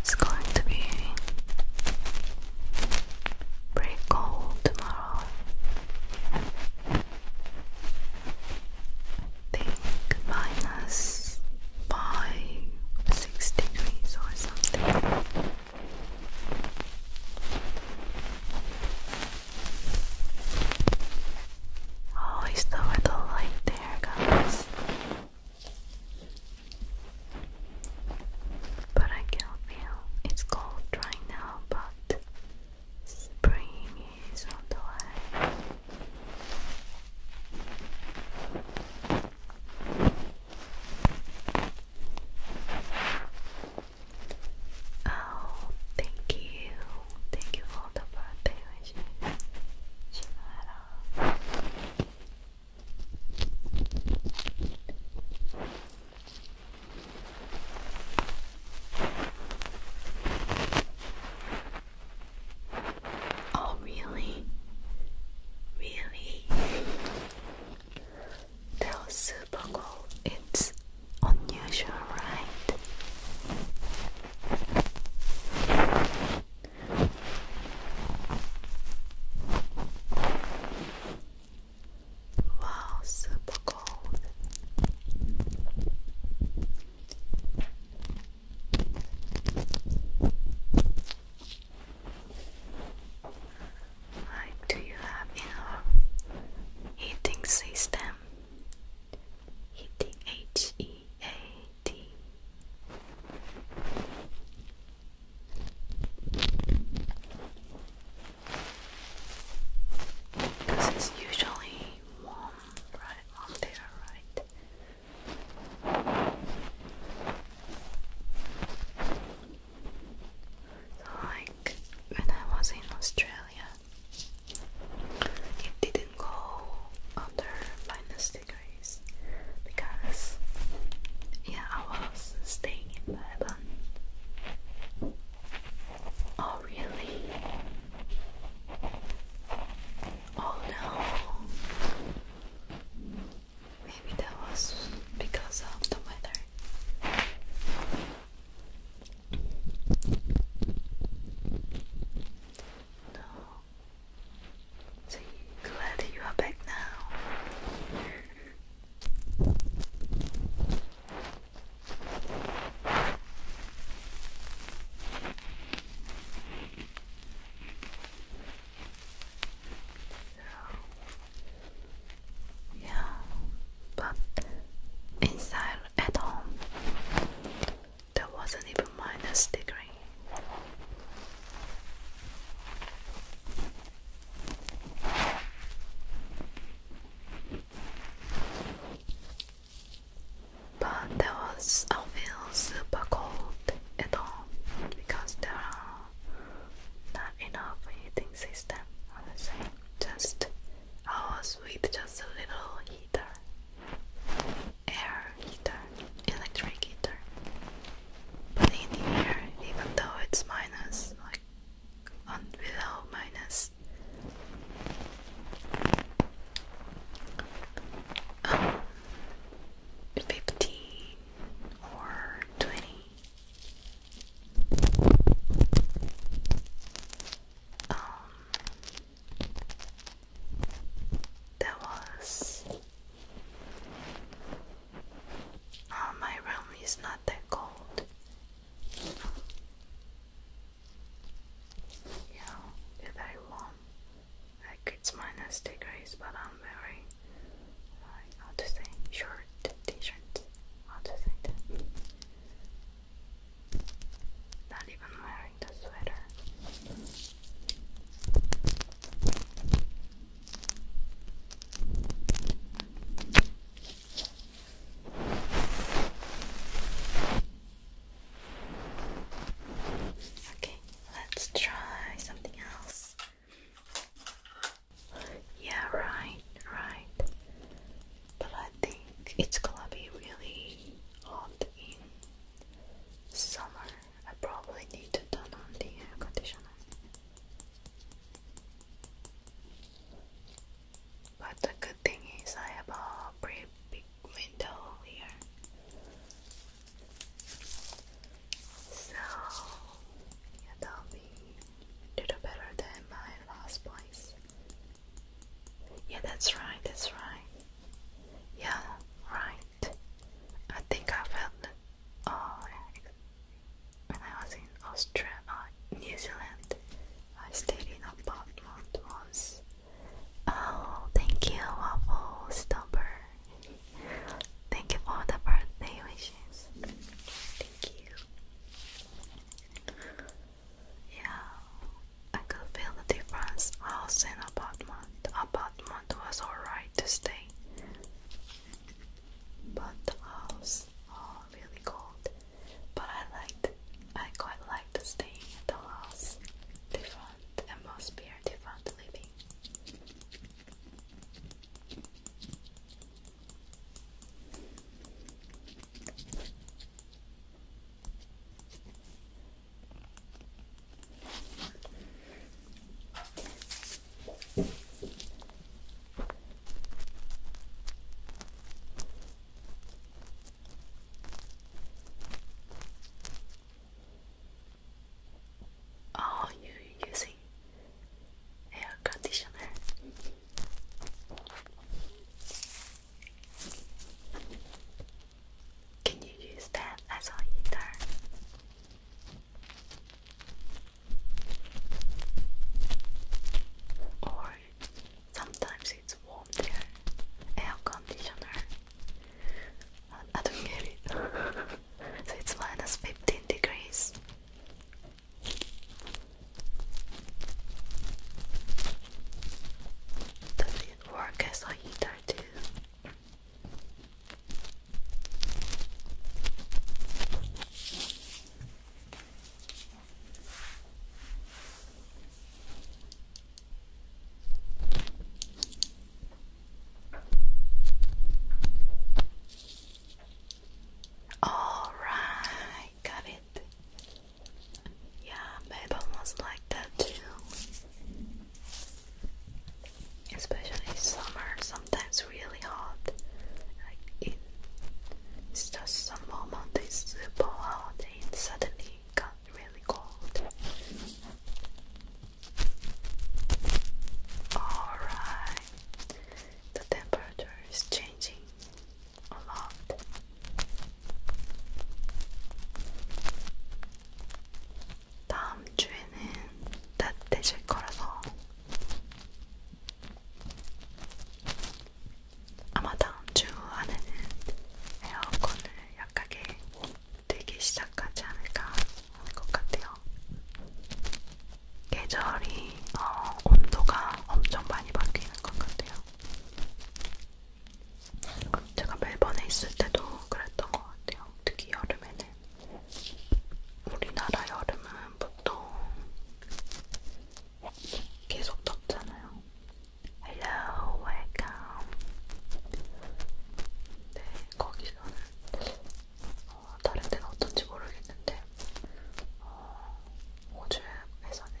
It's going to be pretty cold tomorrow. think minus degrees or something. Oh, is the weather like hair colors. But I can feel it's cold right now, but spring is on the way. Oh, thank you Thank you for the birthday wishes, Oh, really? Really? That super cool. It's unusual, right? Wow, super cold. Like, do you have in your heating system? H E A T because it's usually warm right on there, right? like when I was in Australia, it didn't go under minus degrees because yeah I was staying in bed and oh really oh no maybe that was because of the weather no so you glad that you are back now. yeah, but inside at home, that wasn't even minus degree. But that was I feel super cold at all because there are not enough heating system honestly. Just I was with just a little heater air heater, electric heater. But in the air, even though it's minus, like on below minus. Um, or 20 um, that was. Oh, my room is not that cold. Yeah, it's very warm. Like it's minus degrees, but I'm very. how to say? Short t shirt. How to say that? Not even wearing the sweater. Okay, let's try something else. Yeah, right, right. But I think it's gonna be really hot in summer. I probably need to turn on the air conditioner. But the good thing is I have a pretty big window here. So it'll be a little better than my last place. Yeah, that's right, that's right. Yeah, right. I think I felt it oh, when I was in Australia, uh, New Zealand. I stayed in an apartment once. Oh, thank you, Waffle Stomper. thank you for the birthday wishes. Thank you. Yeah, I could feel the difference. House and apartment. The apartment was alright to stay, but the house, oh, really cold. But I liked, I quite liked staying at the house. Different atmosphere, different living. Are oh, you using air conditioner? Can you use that as a heater? Or sometimes it's warm Air conditioner. I don't get it. so it's minus 15 degrees. Does it work as a heater too? All right, got it. Yeah, Mabel was like that too especially summer, sometimes really hot. Like in it's just some moment it's super hot and suddenly it got really cold. Alright, the temperature is changing a lot. 다음 주에는 따뜻해질 거라서 아마 다음 주 안에는 에어컨을 약하게 들기 시작하지 않을까 하는 것 같아요. 계절이 어, 온도가 엄청 많이 바뀌는 것 같아요. 제가 멜번에 있을 때도 그랬던 것 같아요. 특히 여름에는 우리나라 여름은 보통 계속 덥잖아요. Hello, welcome. 네, 거기서는 어, 다른 데는 어떤지 모르겠는데 어, 호주에서는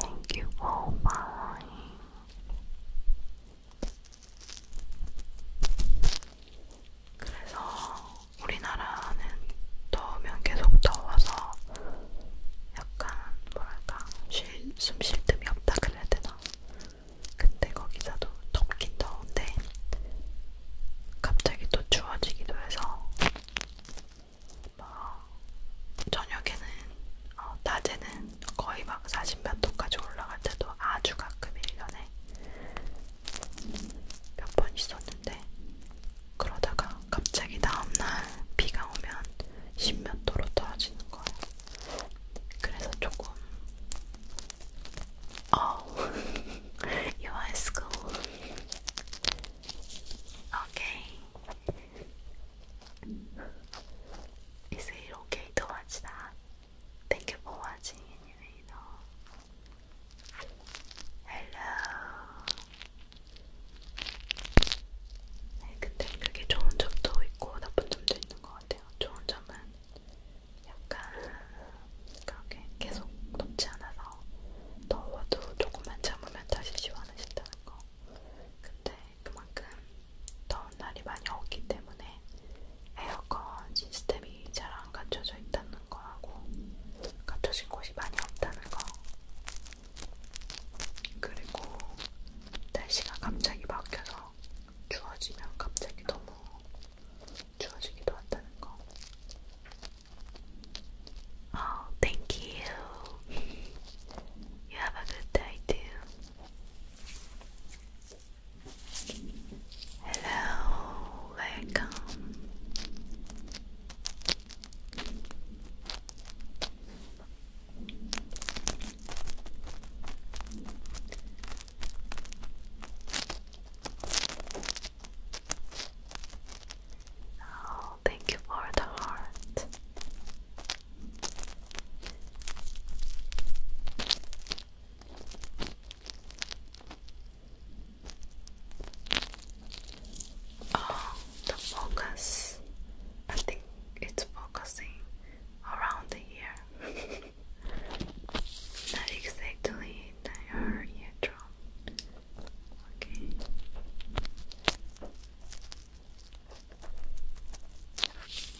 Thank you for oh buying. 그래서 우리나라는 더우면 계속 더워서 약간 뭐랄까 숨 쉴 틈이 없다 그래야 되나? 근데 거기서도 덥긴 더운데 갑자기 또 추워지기도 해서 뭐 저녁에는 어, 낮에는 때는 거의 막 40 몇 도까지 올라갈 때도 아주 가끔 1년에 몇 번 있었는데 그러다가 갑자기 다음날 비가 오면 10몇 도로 떨어지는 거예요. 그래서 조금 Oh, you are school. Okay. Is it okay to watch that? Thank you for watching anyway though. Hello. 네, 근데 그게 좋은 점도 있고 나쁜 점도 있는 것 같아요. 좋은 점은 약간 그렇게 계속 덥지 않아서 더워도 조금만 참으면 다시 시원해진다는 거. 근데 그만큼 더운 날이 많이 없기 때문에 에어컨 시스템이 잘 안 갖춰져 있다는 거하고 갖춰진 곳이 많이 없다는 거 그리고 날씨가 갑자기 바뀌어서 추워지면 갑자기 너무 추워지기도 한다는 거 Oh, thank you. You have a good day too. Hello, welcome. Oh, thank you for the heart. Oh, the focus. I think it's focusing around the ear. Not exactly the ear eardrum. Okay.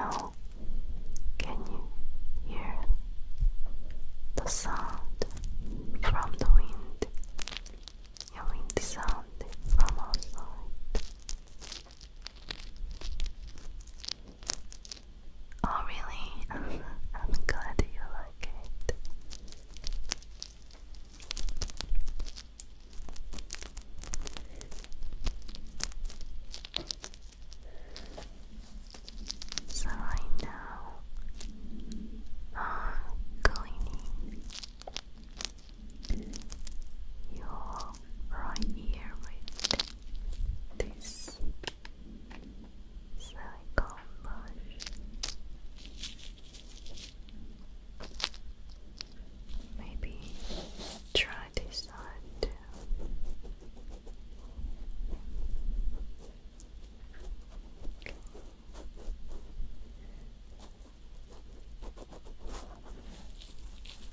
어, Can you hear the sound from the wind? The wind sound from outside. Oh, really? I'm glad you like it. So I know I'm cleaning your right ear with this silicone brush. Maybe try this side too.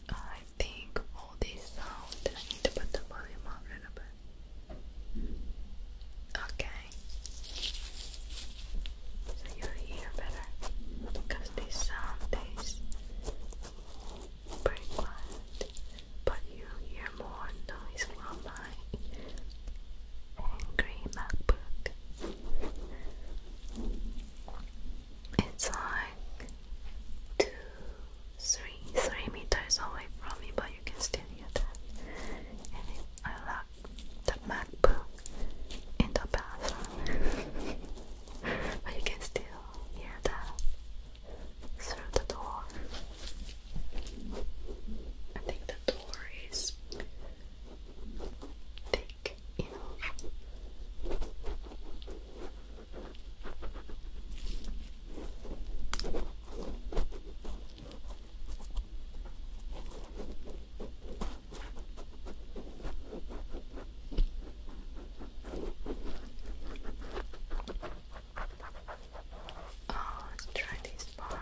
I think all this sound I need to put the volume up a little bit. Okay. So you hear better because this sound is pretty quiet, but you hear more noise from my angry MacBook. It's like two, three, three meters away from me, but you can still hear that. And I love the MacBook in the bathroom. but you can still hear that through the door. I think the door is thick enough. Oh, let's try this part.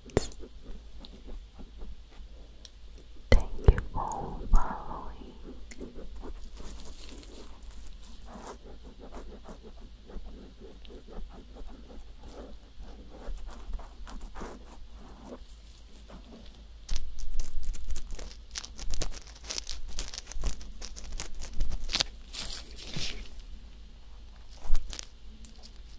Thank you for following.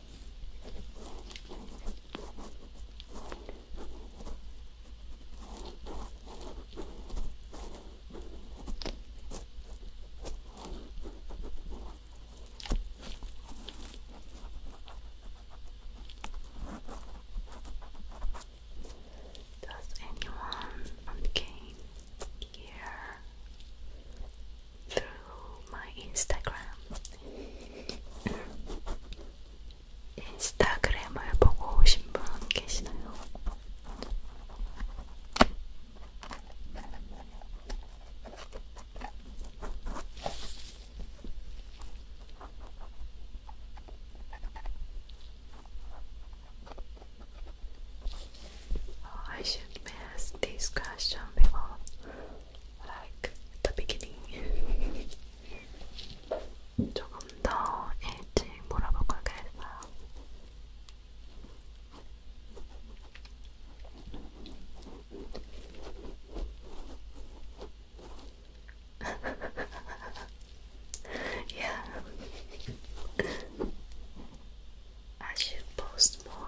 Does anyone game here through my Instagram. 인스타그램을 보고 오신 분 계시나요? I should ask this question before like the beginning. 조금 더 일찍 물어볼걸 그랬어요. yeah. I should post more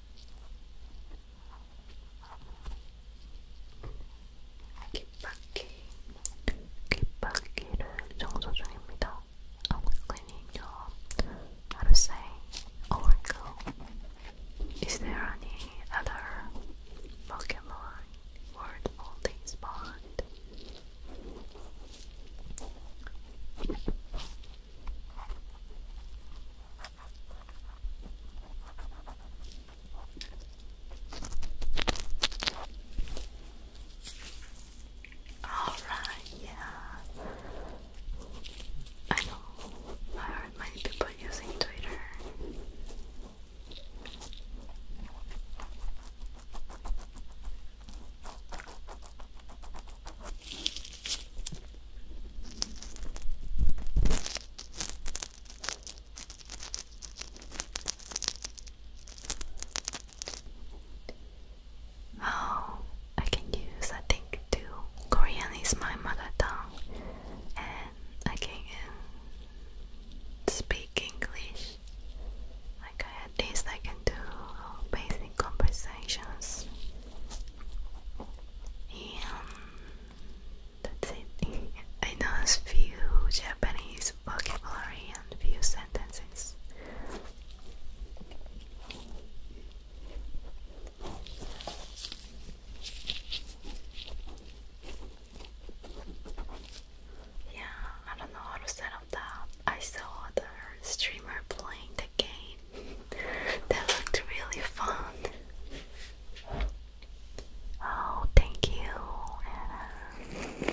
귓바퀴, 귓바퀴를 청소 cleaning your, how oh Is there any other Pokemon word for this all right, yeah. I know. I heard many people using Twitter. Oh, I can use I think too. Korean is my mother tongue and I can speak English. Like at least I can do basic conversations. And that's it. I know few Japanese vocabulary and few sentences. Yeah, I don't know how to set up that. I saw the streamer playing the game. that looked really fun. Oh, thank you, Anna.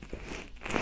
Hello, welcome.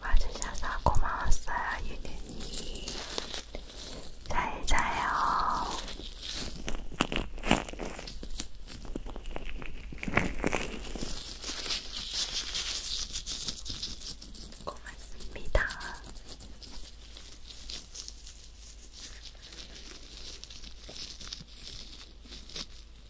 와주셔서 고마웠어요, 유느님. 잘 자요. 고맙습니다.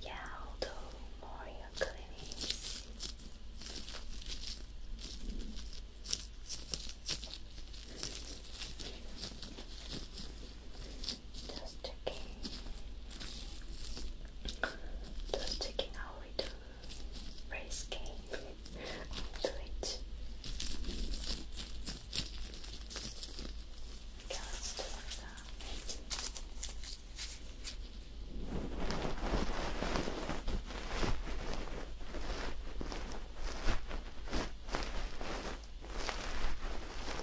Yeah, although Mario clinics. Just checking. Just checking how we do race game on Twitch. Okay, let's do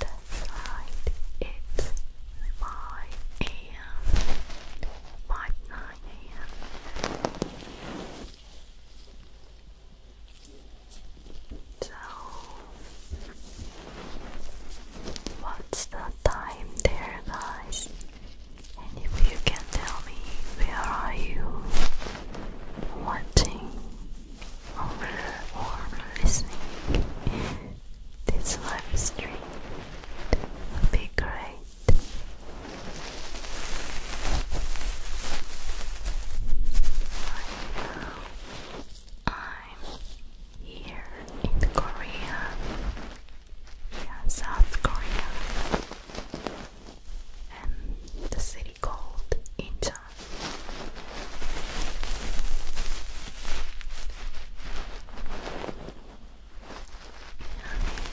That's right, it's 5 a.m. 5 9 a.m. So, what's the time there, guys? And if you can tell me where are you watching or listening this live stream would be great. Right now, I'm here in Korea, yeah, South Korea, and the city called Incheon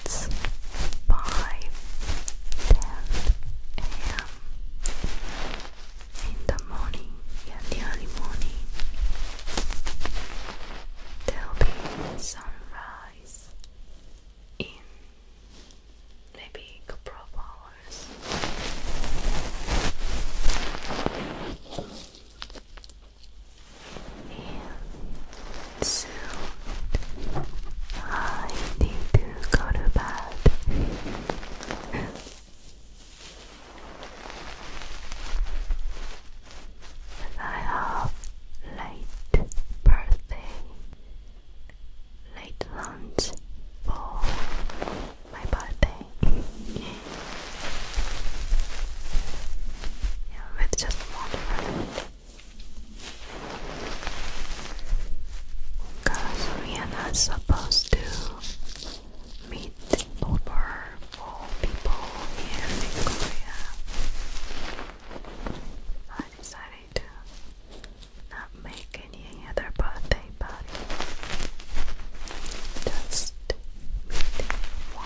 it's 5 a.m. in the morning, early morning. There'll be sunrise in maybe a couple hours. And soon I need to go to bed. I have late birthday late lunch for my birthday. yeah, with just one friend. Cause we are not supposed to meet over four people here in Korea. I decided to not make any other birthday party. Just one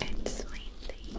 It's windy.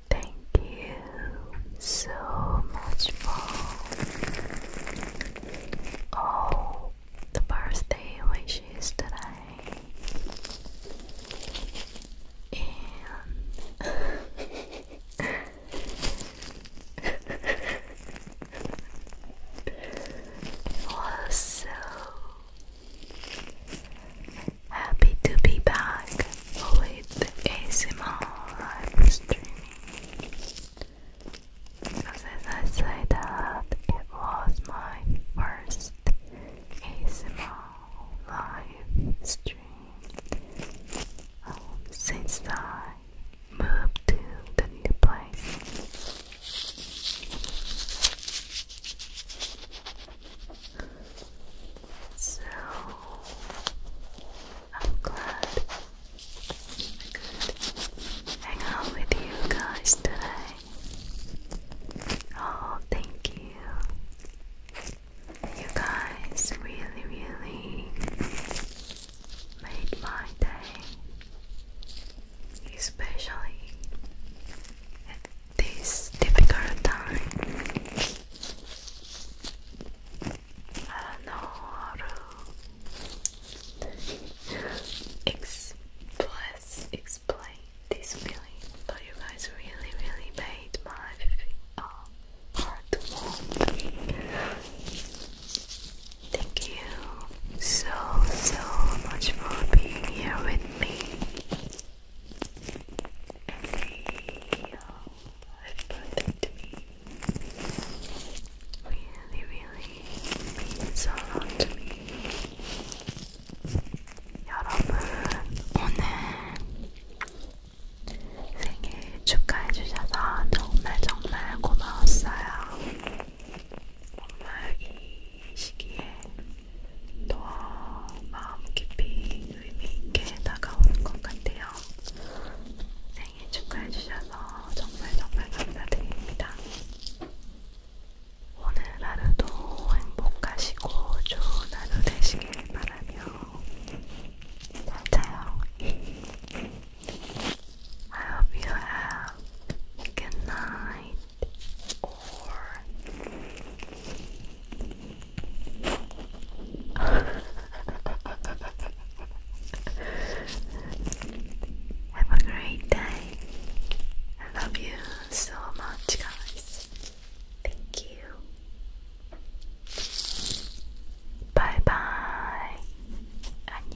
Thank you so much for all the birthday wishes today. And it Happy to be back with ASMR live streaming. Because I said that it was my first ASMR live stream um, since I moved to the new place. So I'm glad I hang out with you guys today. Oh, thank you. You guys really, really made my day, especially at this difficult time. I don't know how to express, explain this feeling, but you guys really, really made my heart warm. Thank you so, so much for being here with me. have protected me. Really, really means a lot to me. 여러분, 오늘 생일 축하해주셔서 정말 정말 고마웠어요. 정말 이 시기에 더 마음 깊이 의미 있게 다가오는 것 같아요. 주시고요. 생일 축하해 주셔서 정말 정말 감사드립니다. 오늘 하루도 행복하시고 좋은 하루 되시길 바라며 잘 자요. I hope you have a good night or Have a great day. I love you so much, guys. Thank you. Bye bye. 안녕.